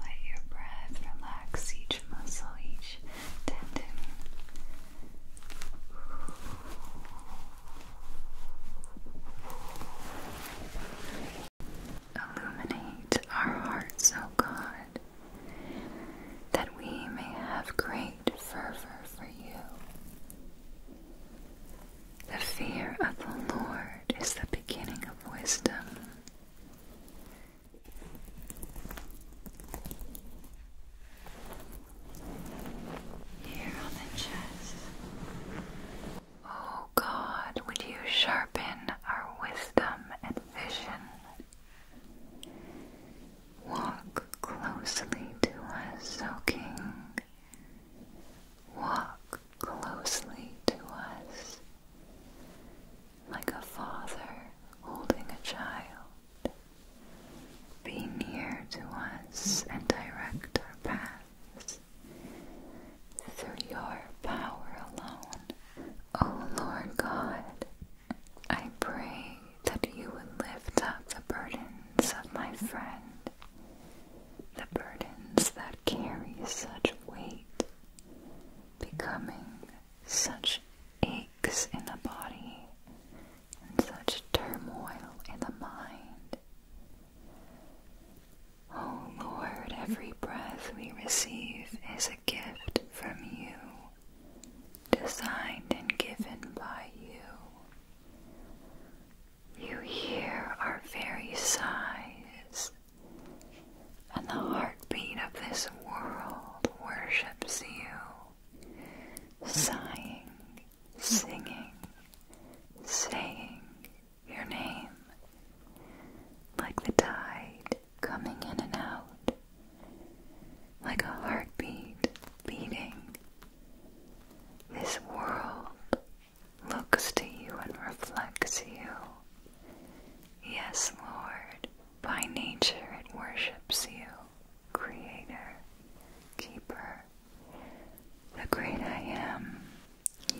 Let your breath relax each muscle, each tendon. Illuminate our hearts, O God, that we may have great fervor for you. The fear of the Lord is the beginning of wisdom. Here on the chest. Oh God, would you sharpen our wisdom and vision? Walk closely to us, O King, walk closely to us like a father holding a child. Be near to us and direct our paths through your power alone. O oh Lord God, I pray that you would lift up the burdens of my friend, the burdens that Carry such weight, becoming such aches in the body and such turmoil in the mind. Oh Lord, every breath we receive is a gift from you, designed and given by you. You hear our very sighs, and the heartbeat of this world worships you, sighing, singing, saying your name, like the tide coming in and out, like a heartbeat beating. This world looks to you and reflects you. Yes, Lord, by nature it worships you, Creator, Keeper, the Great I Am.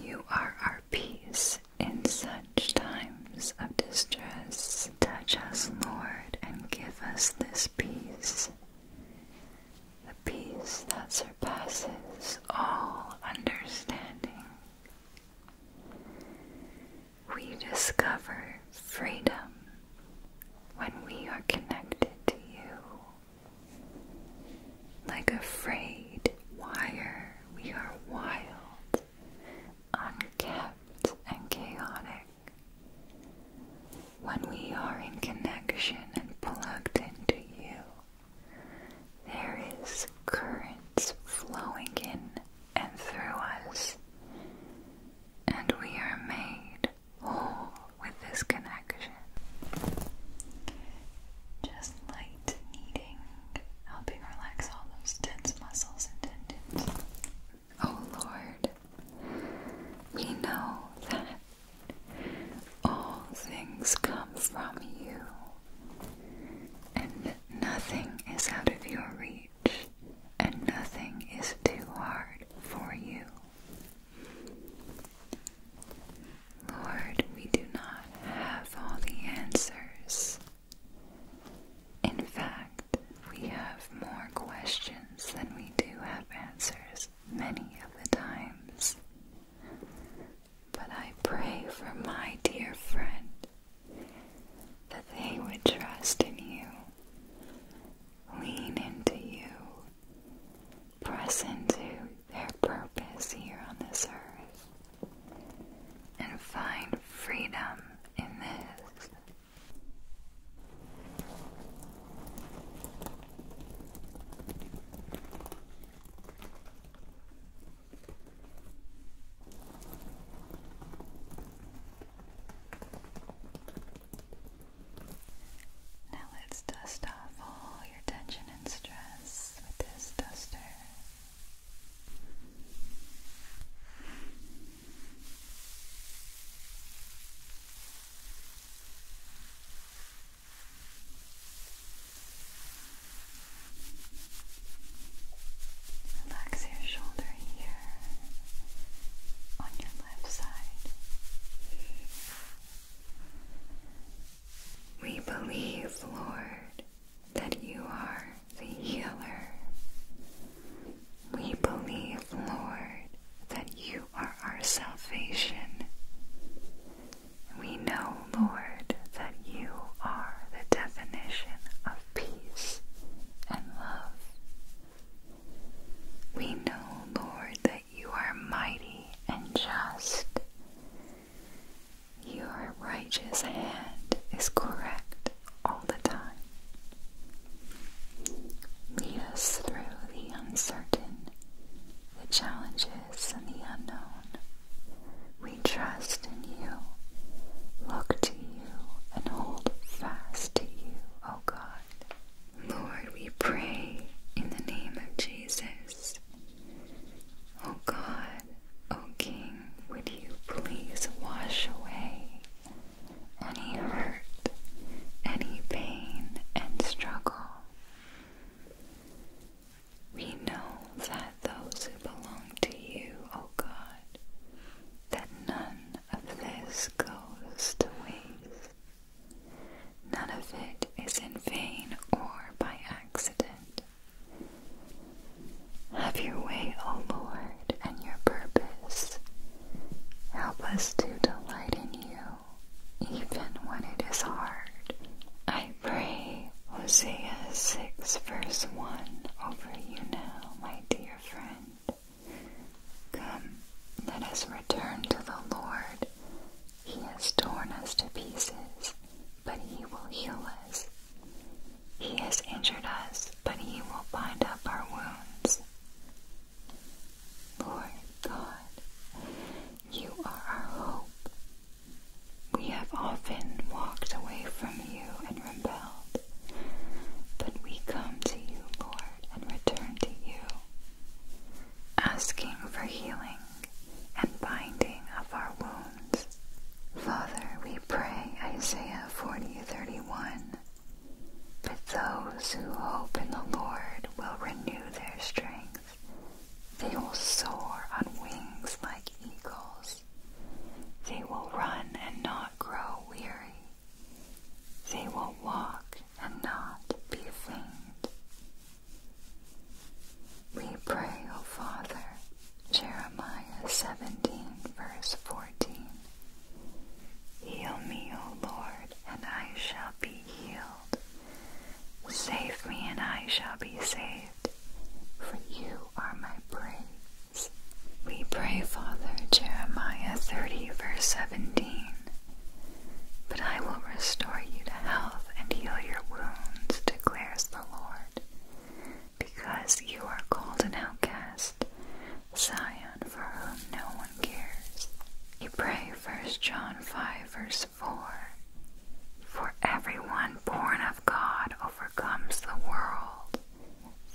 You are our peace in such times of distress. Touch us, Lord, and give us this peace peace that surpasses all understanding. We discover freedom when we are connected to you. Like a frayed wire, we are wild, unkept, and chaotic. When we are in connection and plugged into you, there is currents flowing in and through us, and we are made whole with this connection. Just light kneading, helping relax all those tense muscles and tendons. Oh Lord, we know that all things come from you and nothing is out of your reach, and nothing is too hard for you. Lord, we do not have all the answers. In fact, we have more questions than we do have answers many of the times. But I pray for my dear friend that they would trust in you, lean into you, press into their purpose here on this earth, and find freedom in this. Now let's dust off all your tension and stress with this duster. Relax your shoulder here on your left side. We believe, Lord, that you are the healer. We believe, Lord, that you are our salvation. We know, Lord, that you are the definition of peace and love. We know, Lord, that you are mighty and just. Your righteous hand is correct all the time. Lead us through the uncertain, the challenges darkness the unknown, we trust in you, look to you, and hold fast to you, O God. Lord, we pray in the name of Jesus. O God, O King, would you please wash away any hurt, any pain, and struggle? We know that those who belong to you, O God, that none of this goes to waste. None of it is in vain or by accident. Have your way, O Lord, and your purpose. Help us to delight in you, even when it is hard. I pray Hosea 6, verse 1 over you now, my dear friend. Come, let us return to the Lord. He has torn us to pieces, but he will heal us. He has injured us, but he will bind up our wounds. Lord God, you are our hope. We have often walked away from you and rebelled, but we come to you, Lord, and return to you, asking for healing and binding of our wounds. Father, we pray Isaiah 40:31. But those who hope in the Lord will renew their strength. They will soar on wings like eagles. They will run and not grow weary. They will walk and not be faint. We pray, O Father, Jeremiah 17, verse 14. Heal me, O Lord, and I shall be healed. Save me, and I shall be saved, for you are my praise. We pray, Father, Jeremiah 30, verse 17. But I will restore you to health and heal your wounds, declares the Lord, because you are called an outcast, Zion, for whom no one cares. We pray, First John 5, verse verse For everyone born of God overcomes the world.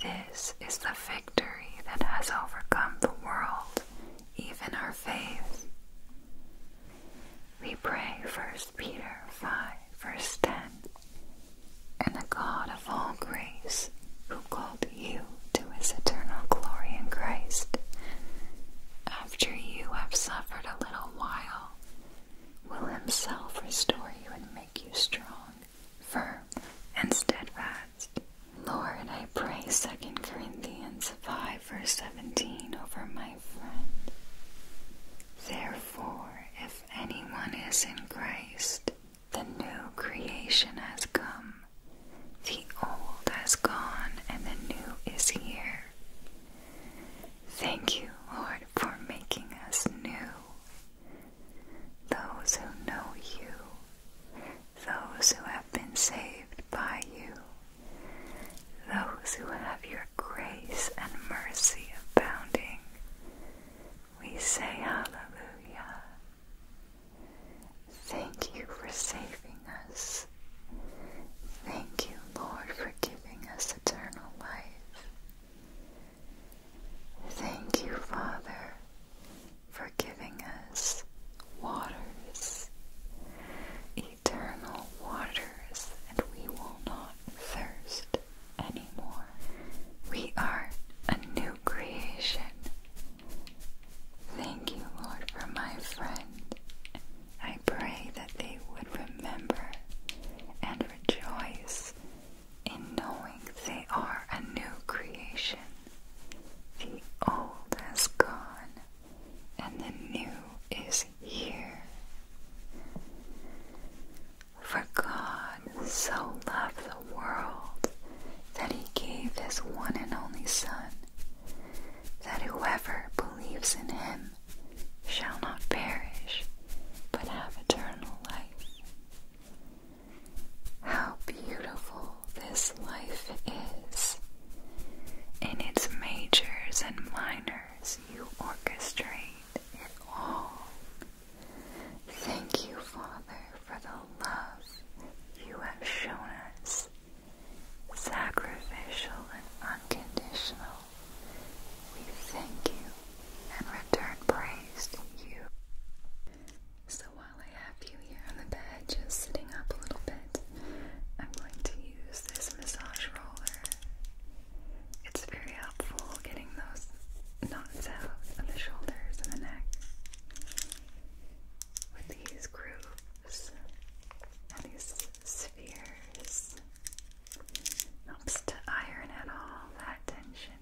This is the victory that has overcome the world, even our faith. We pray 1 Peter 5, verse 10. And the God of all grace, who called you to his eternal glory in Christ, after you have suffered a little while, will himself restore you and make you strong, firm, and steadfast. Lord, I pray Second Corinthians 5 verse 17 over my friend. Therefore, if anyone is in Christ, the new creation has come. The old has gone and the new is here. Thank you, Lord, for making us new. Those who know you, those who have been saved by you, those who have your grace and mercy abounding, we say hallelujah. Thank you for saving us. Thank you, Lord, for giving us eternal life. Thank you, Father, for giving us waters, eternal waters, and we will not thirst anymore. We are a new creation. Thank you, Lord, for my friend pray that they would remember and rejoice in knowing they are a new creation. The old has gone and the new is here. For God so loved the world that he gave his one and only Son, that whoever believes in him shall not perish, but have eternal life. How beautiful this life is! In its majors and minors, you orchestrate it all. Thank you, Father, for the love you have shown us, sacrificial and unconditional. We thank you and return praise to you. So while I have you here on the bed, just sitting up a little bit, I'm going to use this massage roller. It's very helpful getting those knots out of the shoulders and the neck with these grooves and these spheres. Helps to iron out all that tension.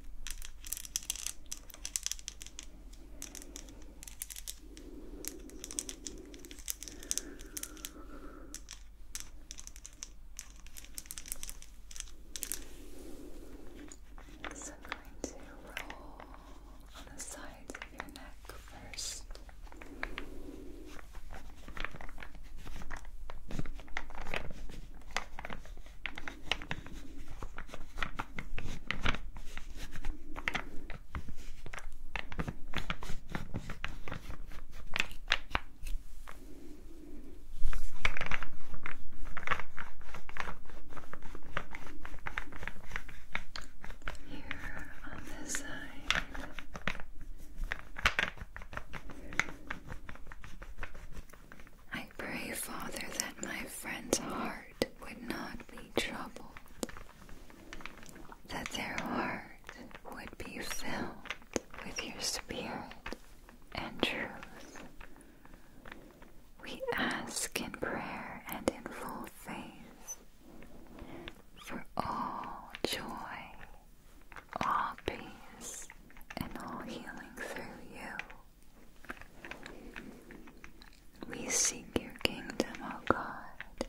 So I'm going to roll on the sides of your neck first. Here on this side. I pray, Father, that my friend's heart would not be troubled, that their heart would be filled with your Spirit and truth. We ask in prayer and in full faith for all joy all peace and all healing through you. We seek your kingdom, O God.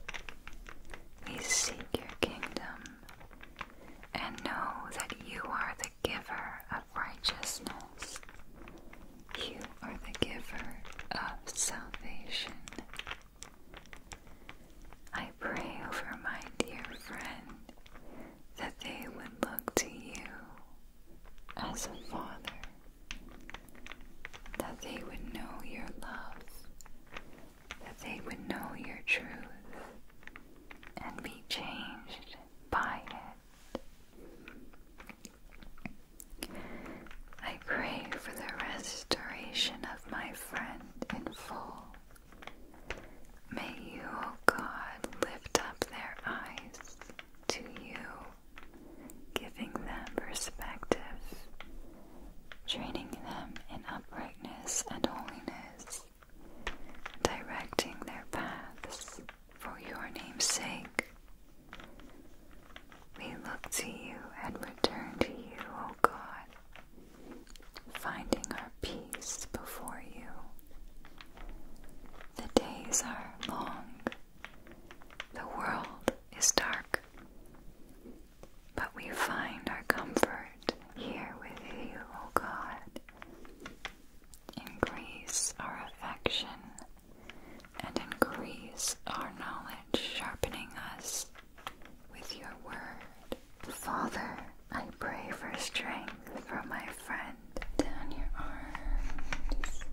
We seek your kingdom and know that you are the giver of righteousness. You are the giver of salvation. I pray over my dear friend that they would look to you as a father, that they would know your love, that they would know your truth, and be changed by it. I pray for the restoration of my friend in full May you, O God, lift up their eyes to you, giving them perspective, training them in uprightness and holiness, directing their paths for your name's sake. We look to you and return to you, O God finding our peace before you. The days are long, the world is dark, but we find our comfort here with you, O God. Increase our affection and increase our knowledge, sharpening us with your word. Father, I pray for strength from my friend. Down your arms.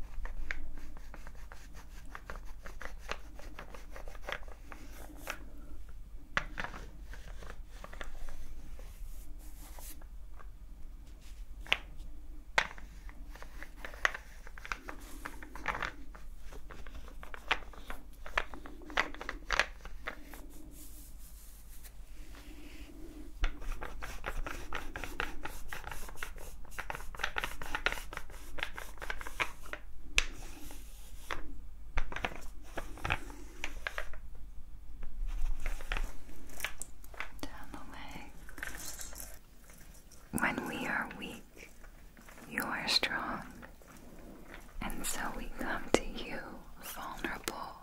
When we are weak, you are strong. And so we come to you vulnerable,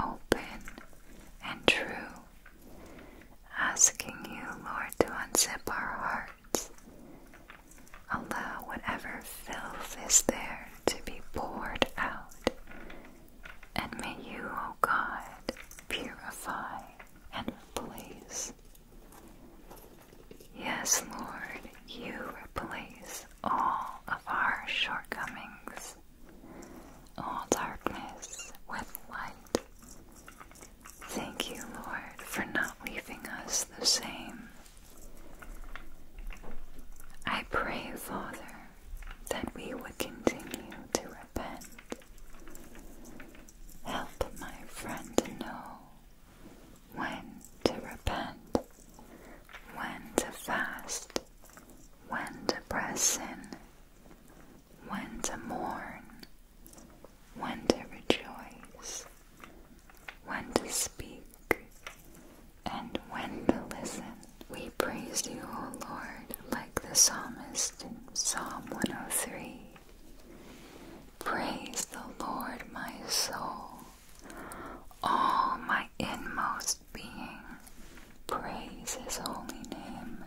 open, and true, asking you, Lord, to unzip our hearts. Allow whatever filth is there to be poured out. And may you, O oh God, purify and replace. Yes, Lord, you replace all of our shortcomings, all darkness with light. Thank you, Lord, for not leaving us the same. I pray, Father, that we would continue to repent. Help my friend to know when to repent, when to fast, when to press in, when to mourn, when to rejoice, when to speak, and when to listen. We praise you, O Lord, like the psalmist in Psalm 103. Praise the Lord, my soul, all my inmost being, praise his holy name.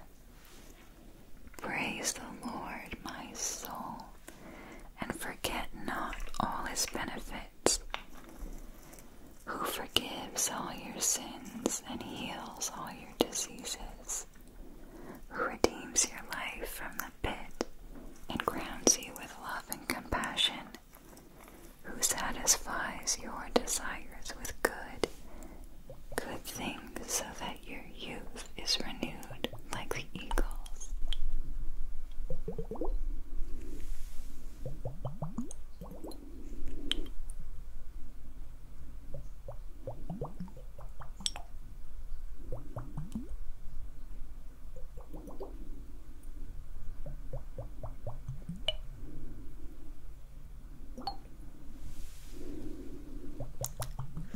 Praise the Lord, my soul, and forget not all his benefits, who forgives all your sins and heals all your diseases, who redeems your life from the pit and crowns you with love and compassion who satisfies your desires with good, good things, so that your youth is renewed like the eagles.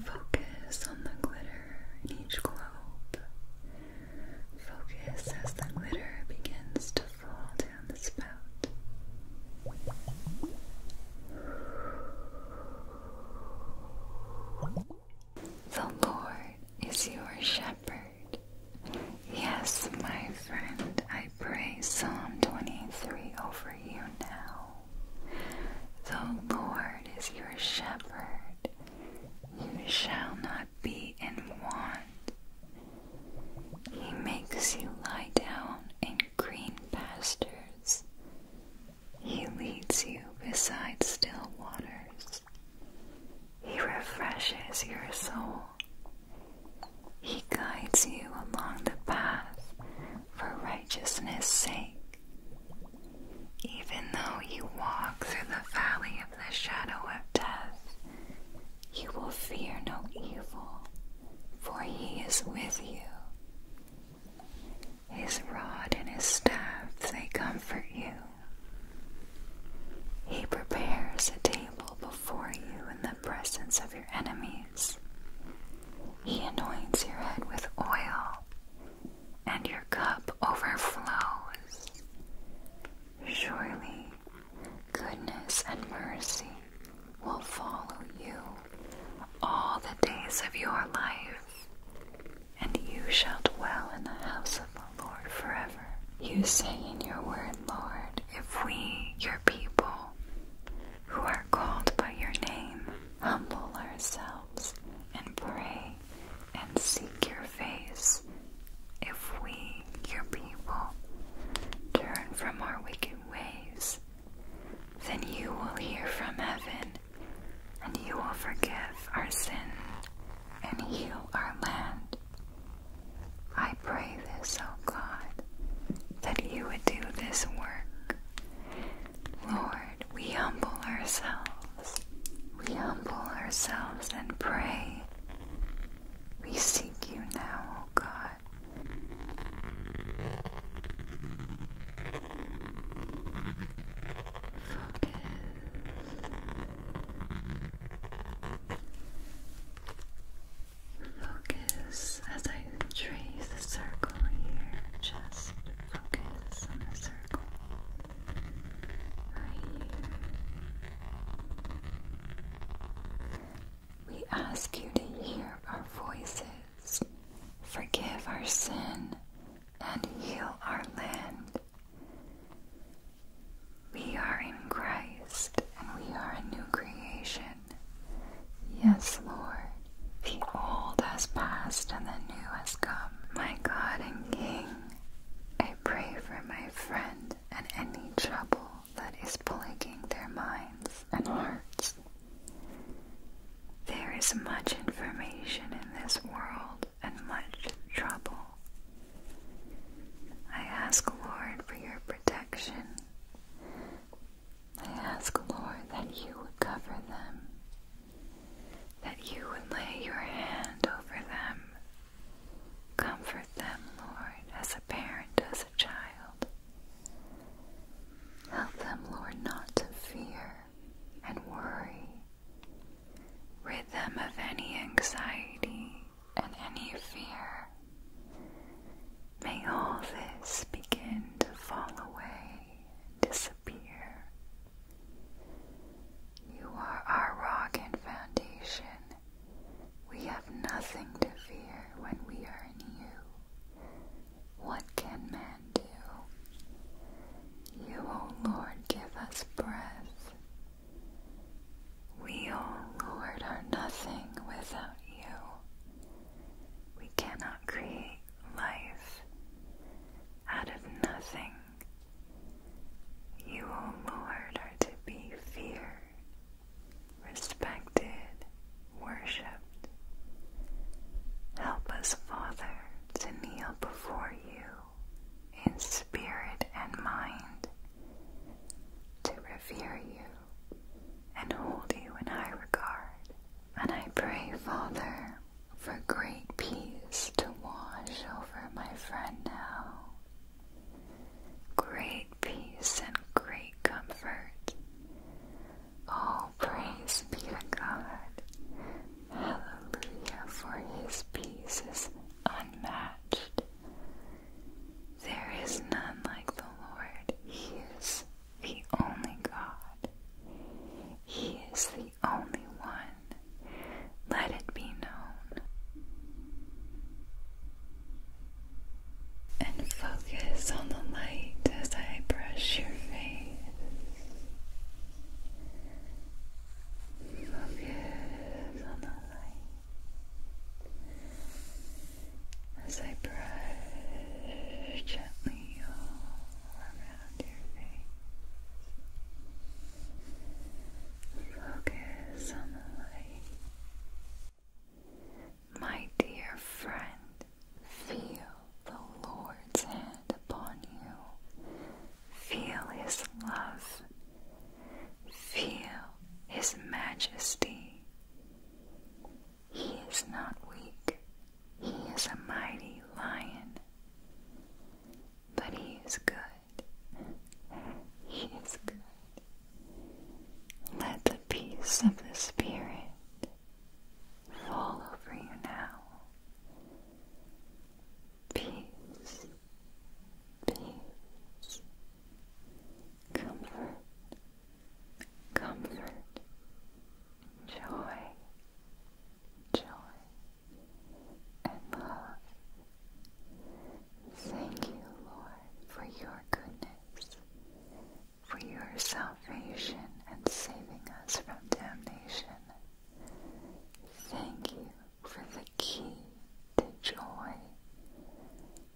Focus on the glitter in each globe. Focus as the glitter begins to fall down the spout. The Lord is your shepherd. Yes, my friend, I pray Psalm 23 over you now. The Lord is your shepherd, you shall not be in want. He makes you lie down in green pastures. He leads you beside still waters. He refreshes your soul. He guides you along the path for righteousness' sake. Even though you walk through the valley of the shadow of death, you will fear no evil, for he is with you. His rod and his staff, they comfort you. He prepares a table before you in the presence of your enemies. He anoints your head with oil, and your cup overflows. Surely, goodness and mercy will follow you all the days of your life, and you shall dwell in the house of Lord, forever. You say in your word, Lord, if we, your people, who are called by your name, humble ourselves and pray and seek your face, if we, your people, turn from our wicked ways, then you will hear from heaven, and you will forgive our sin and heal our land. I pray this, O oh God, that you would do this work. Lord, we humble ourselves. We humble ourselves and pray. We seek you now, O oh God. Focus. Focus as I trace the circle here, just focus on the circle right here. We ask you to hear our voices, forgive our sin, and heal our land. We are in Christ and we are a new creation. Yes, Lord. The old has passed and the new has come. My God and King, I pray for my friend and any trouble that is plaguing their minds and hearts. There is much information in this world and much trouble. I ask, Lord, for your protection. I ask, Lord, that you would cover them, that you would lay your hand over them. Comfort them, Lord, as a parent, does a child. Help them, Lord, not to fear and worry. Rid them of any anxiety and any fear. May all this begin to fall away and disappear. You are our rock and foundation. We have nothing to fear when we are in you. What can man do? You, O Lord, give us breath, we, O Lord, are nothing without you. We cannot create life out of nothing. You, O Lord, are to be feared, respected, worshipped. Help us, Father, to kneel before you in spirit and mind to revere you and hold you in high regard. And I pray, Father, for great peace to wash over my friend now. Great peace and great comfort. Oh, praise be to God. Hallelujah, for his peace is unmatched. There is none like the Lord. He is the only God. He is the only one. Let it be known. And focus on the light as I brush your face. Focus on the light as I brush gently all around your face. Focus on the light. My dear friend, feel the Lord's hand upon you. Feel His love Feel His majesty. He is not weak, He is a mighty lion. But He is good. He is good. Let the peace of the Spirit fall over you now. Peace, peace, comfort, comfort, joy, joy, and love. Thank you, Lord, for your goodness, for your salvation and saving us from damnation. Thank you for the key to joy.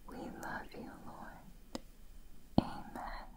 We love you, Lord. Amen.